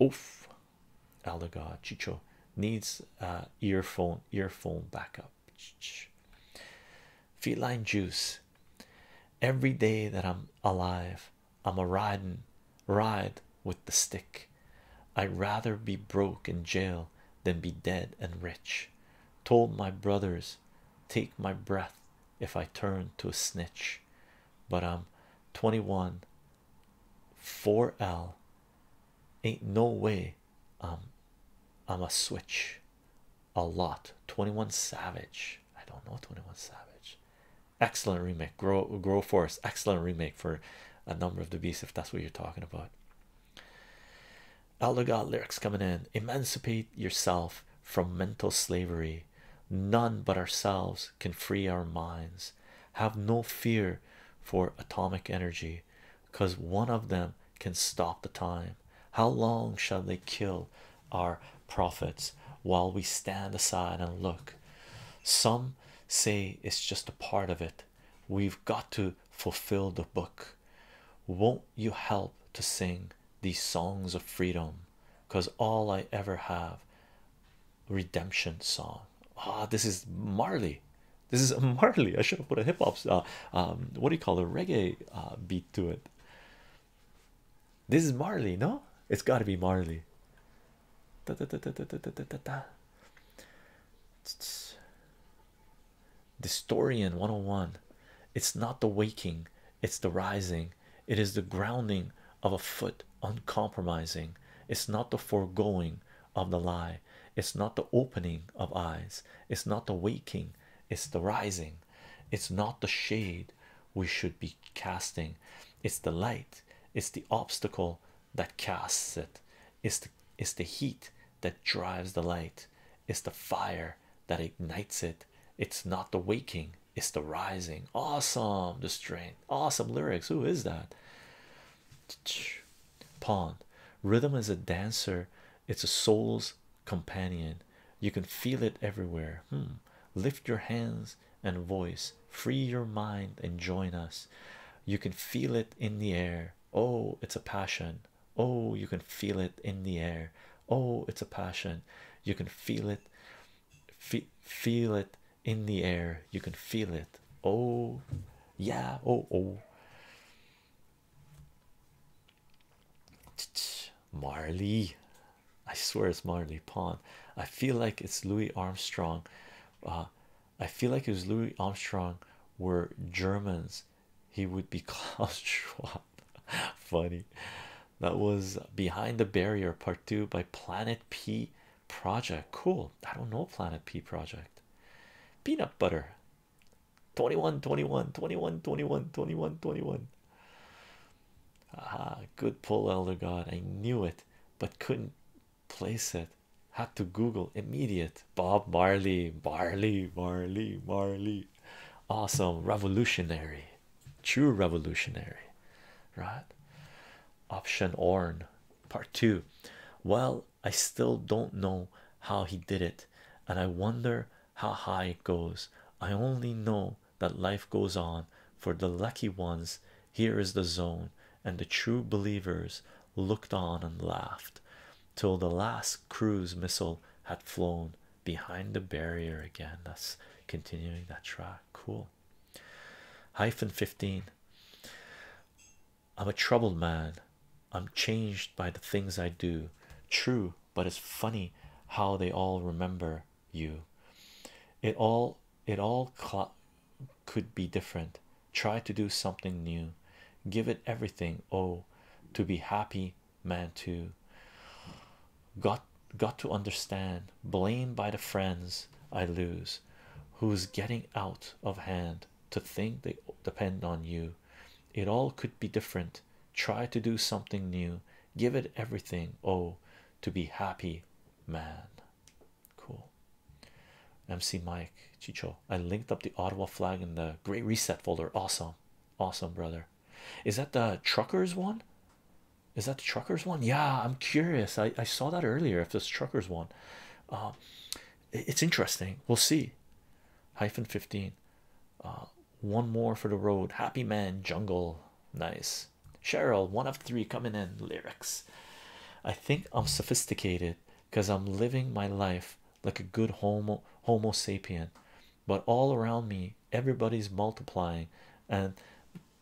Oof, elder god Chicho needs uh, earphone earphone backup. Feline juice Every day that I'm alive, I'm a ridin', ride with the stick. I'd rather be broke in jail than be dead and rich. Told my brothers, take my breath if I turn to a snitch. But I'm 21, 4L. Ain't no way I'm, I'm a switch. A lot. 21 Savage. I don't know 21 Savage. Excellent remake. Grow Grow Forest. Excellent remake for a number of the beasts if that's what you're talking about. the God lyrics coming in. Emancipate yourself from mental slavery. None but ourselves can free our minds. Have no fear for atomic energy because one of them can stop the time. How long shall they kill our prophets while we stand aside and look? Some say it's just a part of it. We've got to fulfill the book. Won't you help to sing these songs of freedom? Because all I ever have redemption song. Ah, this is Marley. This is Marley. I should have put a hip hop, uh, um, what do you call the reggae uh, beat to it. This is Marley, no? It's got to be Marley. Da, da, da, da, da, da, da, da. Distorian 101. It's not the waking, it's the rising. It is the grounding of a foot, uncompromising. It's not the foregoing of the lie. It's not the opening of eyes. It's not the waking, it's the rising. It's not the shade we should be casting, it's the light, it's the obstacle that casts it, it's the, it's the heat that drives the light, it's the fire that ignites it. It's not the waking, it's the rising. Awesome, the strain, awesome lyrics. Who is that? Pawn. Rhythm is a dancer, it's a soul's companion. You can feel it everywhere. Hmm. Lift your hands and voice, free your mind, and join us. You can feel it in the air. Oh, it's a passion. Oh, you can feel it in the air. Oh, it's a passion. You can feel it. feel it in the air. You can feel it. Oh, yeah. Oh, oh. Marley, I swear it's Marley Pond. I feel like it's Louis Armstrong. Uh, I feel like it was Louis Armstrong were Germans, he would be Klaus Schwab. Funny. That was Behind the Barrier Part 2 by Planet P Project. Cool. I don't know Planet P Project. Peanut butter. 21, 21, 21, 21, 21, 21. Ah, good Paul Elder God. I knew it, but couldn't place it. Had to Google immediate Bob Marley, Marley, Marley, Marley. Awesome, revolutionary, true revolutionary, right? Option Orn, part two. Well, I still don't know how he did it, and I wonder how high it goes. I only know that life goes on for the lucky ones. Here is the zone, and the true believers looked on and laughed till the last cruise missile had flown behind the barrier again. That's continuing that track. Cool. Hyphen 15. I'm a troubled man. I'm changed by the things I do. True, but it's funny how they all remember you. It all it all could be different. Try to do something new. Give it everything. Oh, to be happy, man too. Got got to understand. Blamed by the friends I lose, who's getting out of hand. To think they depend on you. It all could be different try to do something new, give it everything. Oh, to be happy, man. Cool. MC Mike Chicho, I linked up the Ottawa flag in the Great Reset folder. Awesome, awesome, brother. Is that the truckers one? Is that the truckers one? Yeah, I'm curious. I, saw that earlier. If this truckers one, um, it's interesting. We'll see. Hyphen 15. Uh, one more for the road happy man jungle nice cheryl one of three coming in lyrics i think i'm sophisticated because i'm living my life like a good homo homo sapien but all around me everybody's multiplying and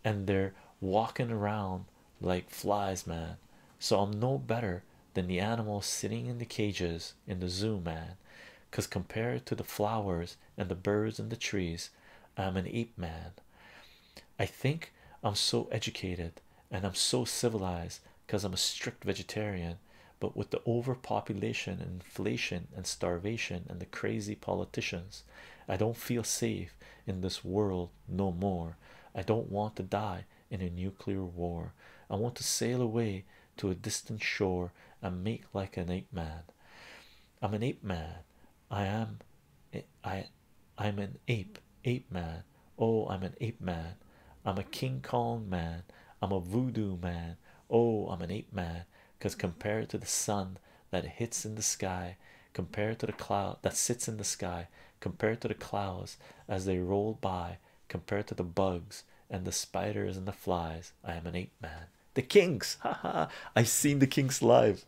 and they're walking around like flies man so i'm no better than the animals sitting in the cages in the zoo man because compared to the flowers and the birds and the trees, I'm an ape man. I think I'm so educated and I'm so civilized because I'm a strict vegetarian, but with the overpopulation and inflation and starvation and the crazy politicians, I don't feel safe in this world no more. I don't want to die in a nuclear war. I want to sail away to a distant shore and make like an ape man. I'm an ape man. I am I I'm an ape ape man. Oh, I'm an ape man. I'm a King Kong man. I'm a voodoo man. Oh, I'm an ape man. Because compared to the sun that hits in the sky, compared to the cloud that sits in the sky, compared to the clouds as they roll by, compared to the bugs and the spiders and the flies, I am an ape man. The Kings. Haha. I seen the Kings live.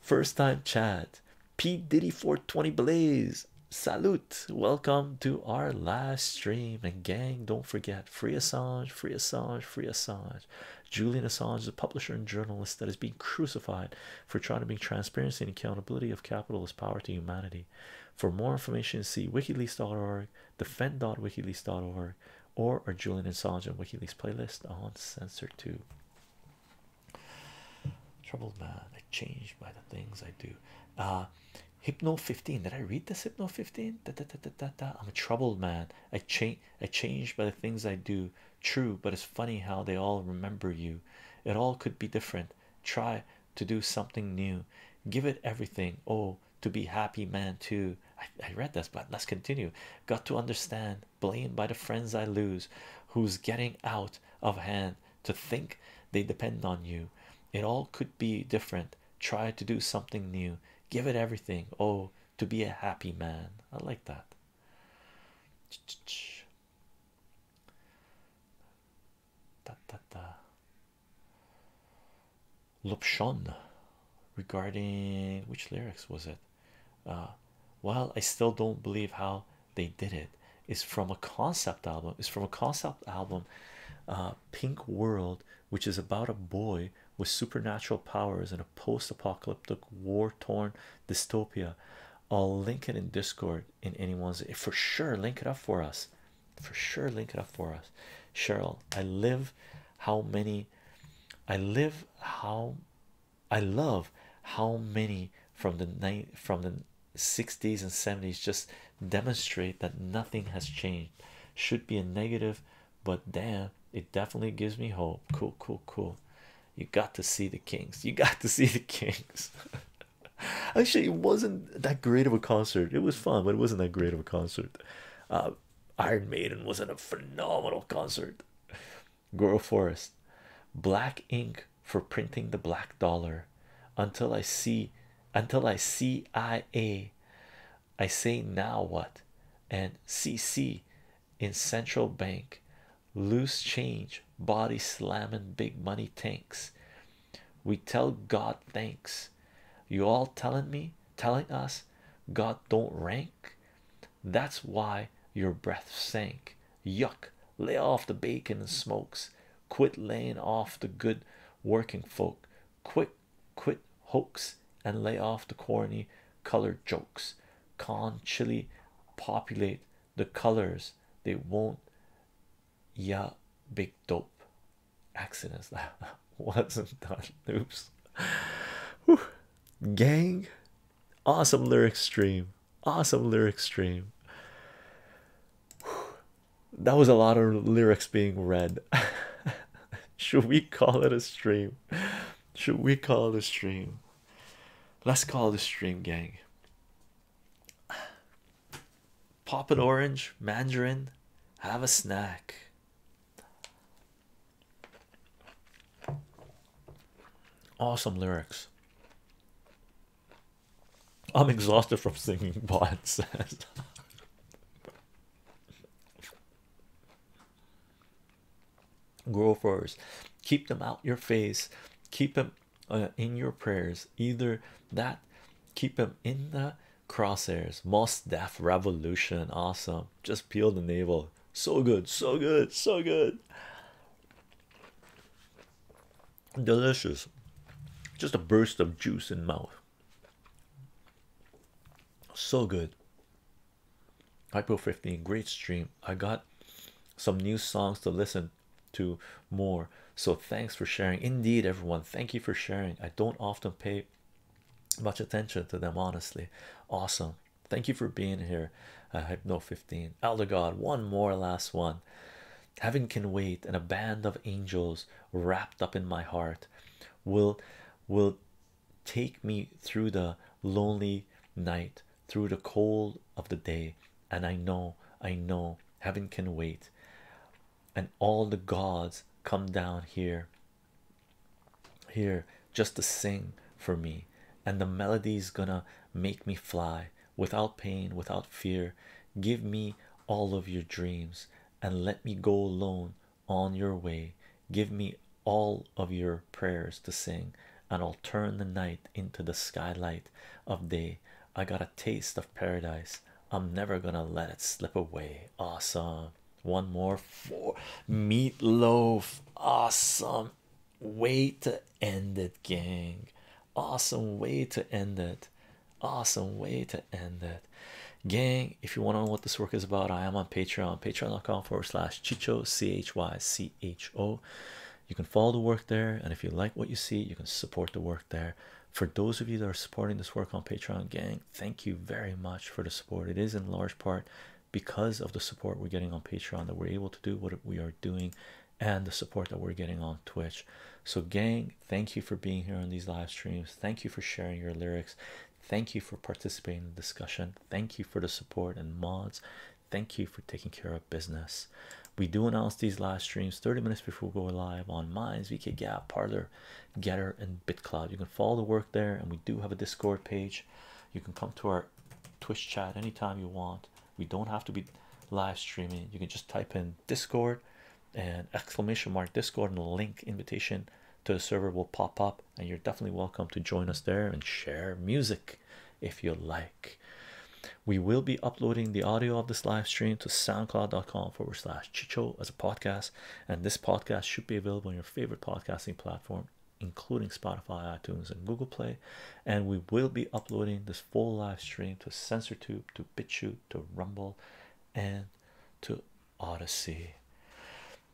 First time chat. P Diddy 420 Blaze. Salute. Welcome to our live stream. And gang, don't forget free Assange, free Assange, free Assange. Julian Assange, is a publisher and journalist that is being crucified for trying to bring transparency and accountability of capitalist power to humanity. For more information, see wikileaks.org, defend.wikileaks.org, or our Julian Assange WikiLeaks playlist on Censor2. Troubled man, I change by the things I do. Uh, Hypno 15. Did I read the Hypno 15? Da, da, da, da, da. I'm a troubled man. I change I change by the things I do. True, but it's funny how they all remember you. It all could be different. Try to do something new. Give it everything. Oh, to be happy man too I, read this but let's continue got to understand blamed by the friends i lose who's getting out of hand to think they depend on you it all could be different try to do something new give it everything oh to be a happy man i like that Da, da, da. Lupshon regarding which lyrics was it? Uh, well, I still don't believe how they did it, is from a concept album, is from a concept album, uh, Pink World, which is about a boy with supernatural powers in a post apocalyptic, war torn dystopia. I'll link it in Discord in anyone's for sure. Link it up for us for sure link it up for us cheryl i live how many i live how i love how many from the night from the 60s and 70s just demonstrate that nothing has changed should be a negative but damn it definitely gives me hope cool cool cool you got to see the kings you got to see the kings actually it wasn't that great of a concert it was fun but it wasn't that great of a concert uh, Iron Maiden was in a phenomenal concert. Goro Forest, black ink for printing the black dollar. Until I see, until I see I a, I say now what, and C C, in central bank, loose change, body slamming big money tanks, we tell God thanks. You all telling me, telling us God don't rank. That's why your breath sank. Yuck, lay off the bacon and smokes. Quit laying off the good working folk. Quick, quit hoax and lay off the corny colored jokes. Con populate the colors they won't. Yeah, big dope accidents that wasn't done. Oops. Gang, awesome lyrics stream. Awesome lyrics stream. That was a lot of lyrics being read. Should we call it a stream? Should we call it a stream? Let's call it a stream, gang pop an orange, mandarin, have a snack. Awesome lyrics. I'm exhausted from singing, Bod says. Grow first, keep them out your face, keep them uh, in your prayers. Either that, keep them in the crosshairs most Def Revolution awesome just peel the navel so good so good so good delicious just a burst of juice in mouth so good hypo 15 great stream I got some new songs to listen to more so thanks for sharing indeed everyone thank you for sharing I don't often pay much attention to them, honestly. Awesome. Thank you for being here. Uh, Hypno 15. Elder God, one more last one. Heaven can wait, and a band of angels wrapped up in my heart will will take me through the lonely night, through the cold of the day, and I know, I know, heaven can wait. And all the gods come down here here just to sing for me and the melody's gonna make me fly without pain without fear give me all of your dreams and let me go alone on your way give me all of your prayers to sing and i'll turn the night into the skylight of day i got a taste of paradise i'm never gonna let it slip away awesome one more for meatloaf. Awesome way to end it, gang. Awesome way to end it. Awesome way to end it. Gang, if you want to know what this work is about, I am on Patreon, patreon.com forward slash chicho c h y c h o. You can follow the work there, and if you like what you see, you can support the work there for those of you that are supporting this work on patreon gang thank you very much for the support it is in large part because of the support we're getting on patreon that we're able to do what we are doing and the support that we're getting on twitch so gang thank you for being here on these live streams thank you for sharing your lyrics thank you for participating in the discussion thank you for the support and mods thank you for taking care of business we do announce these live streams 30 minutes before we go live on mines vk gap parlor Getter, and BitCloud. You can follow the work there, and we do have a Discord page. You can come to our Twitch chat anytime you want. We don't have to be live streaming. You can just type in Discord and exclamation mark Discord and a link invitation to the server will pop up, and you're definitely welcome to join us there and share music if you like. We will be uploading the audio of this live stream to soundcloud.com forward slash chicho as a podcast and this podcast should be available on your favorite podcasting platform, including Spotify, iTunes, and Google Play. And we will be uploading this full live stream to Tube, to BitChute, to Rumble, and to Odyssey.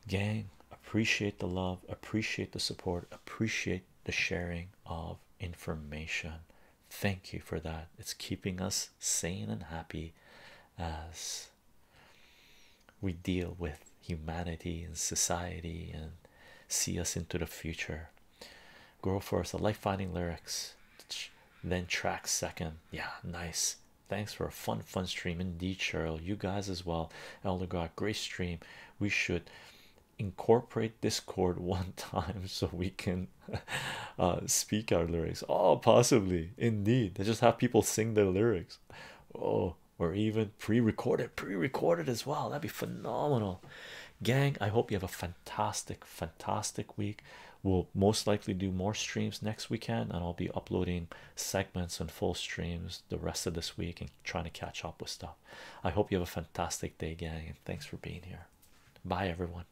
Gang, appreciate the love, appreciate the support, appreciate the sharing of information. Thank you for that. It's keeping us sane and happy as we deal with humanity and society and see us into the future. girl for us. a life finding lyrics, then track second. Yeah, nice. Thanks for a fun, fun stream indeed, Cheryl. You guys as well, Elder God. Grace. stream. We should incorporate Discord one time so we can uh, speak our lyrics. Oh, possibly, indeed. They just have people sing their lyrics. Oh, or even pre-recorded, pre-recorded as well. That'd be phenomenal. Gang, I hope you have a fantastic, fantastic week. We'll most likely do more streams next weekend, and I'll be uploading segments and full streams the rest of this week and trying to catch up with stuff. I hope you have a fantastic day, gang, and thanks for being here. Bye, everyone.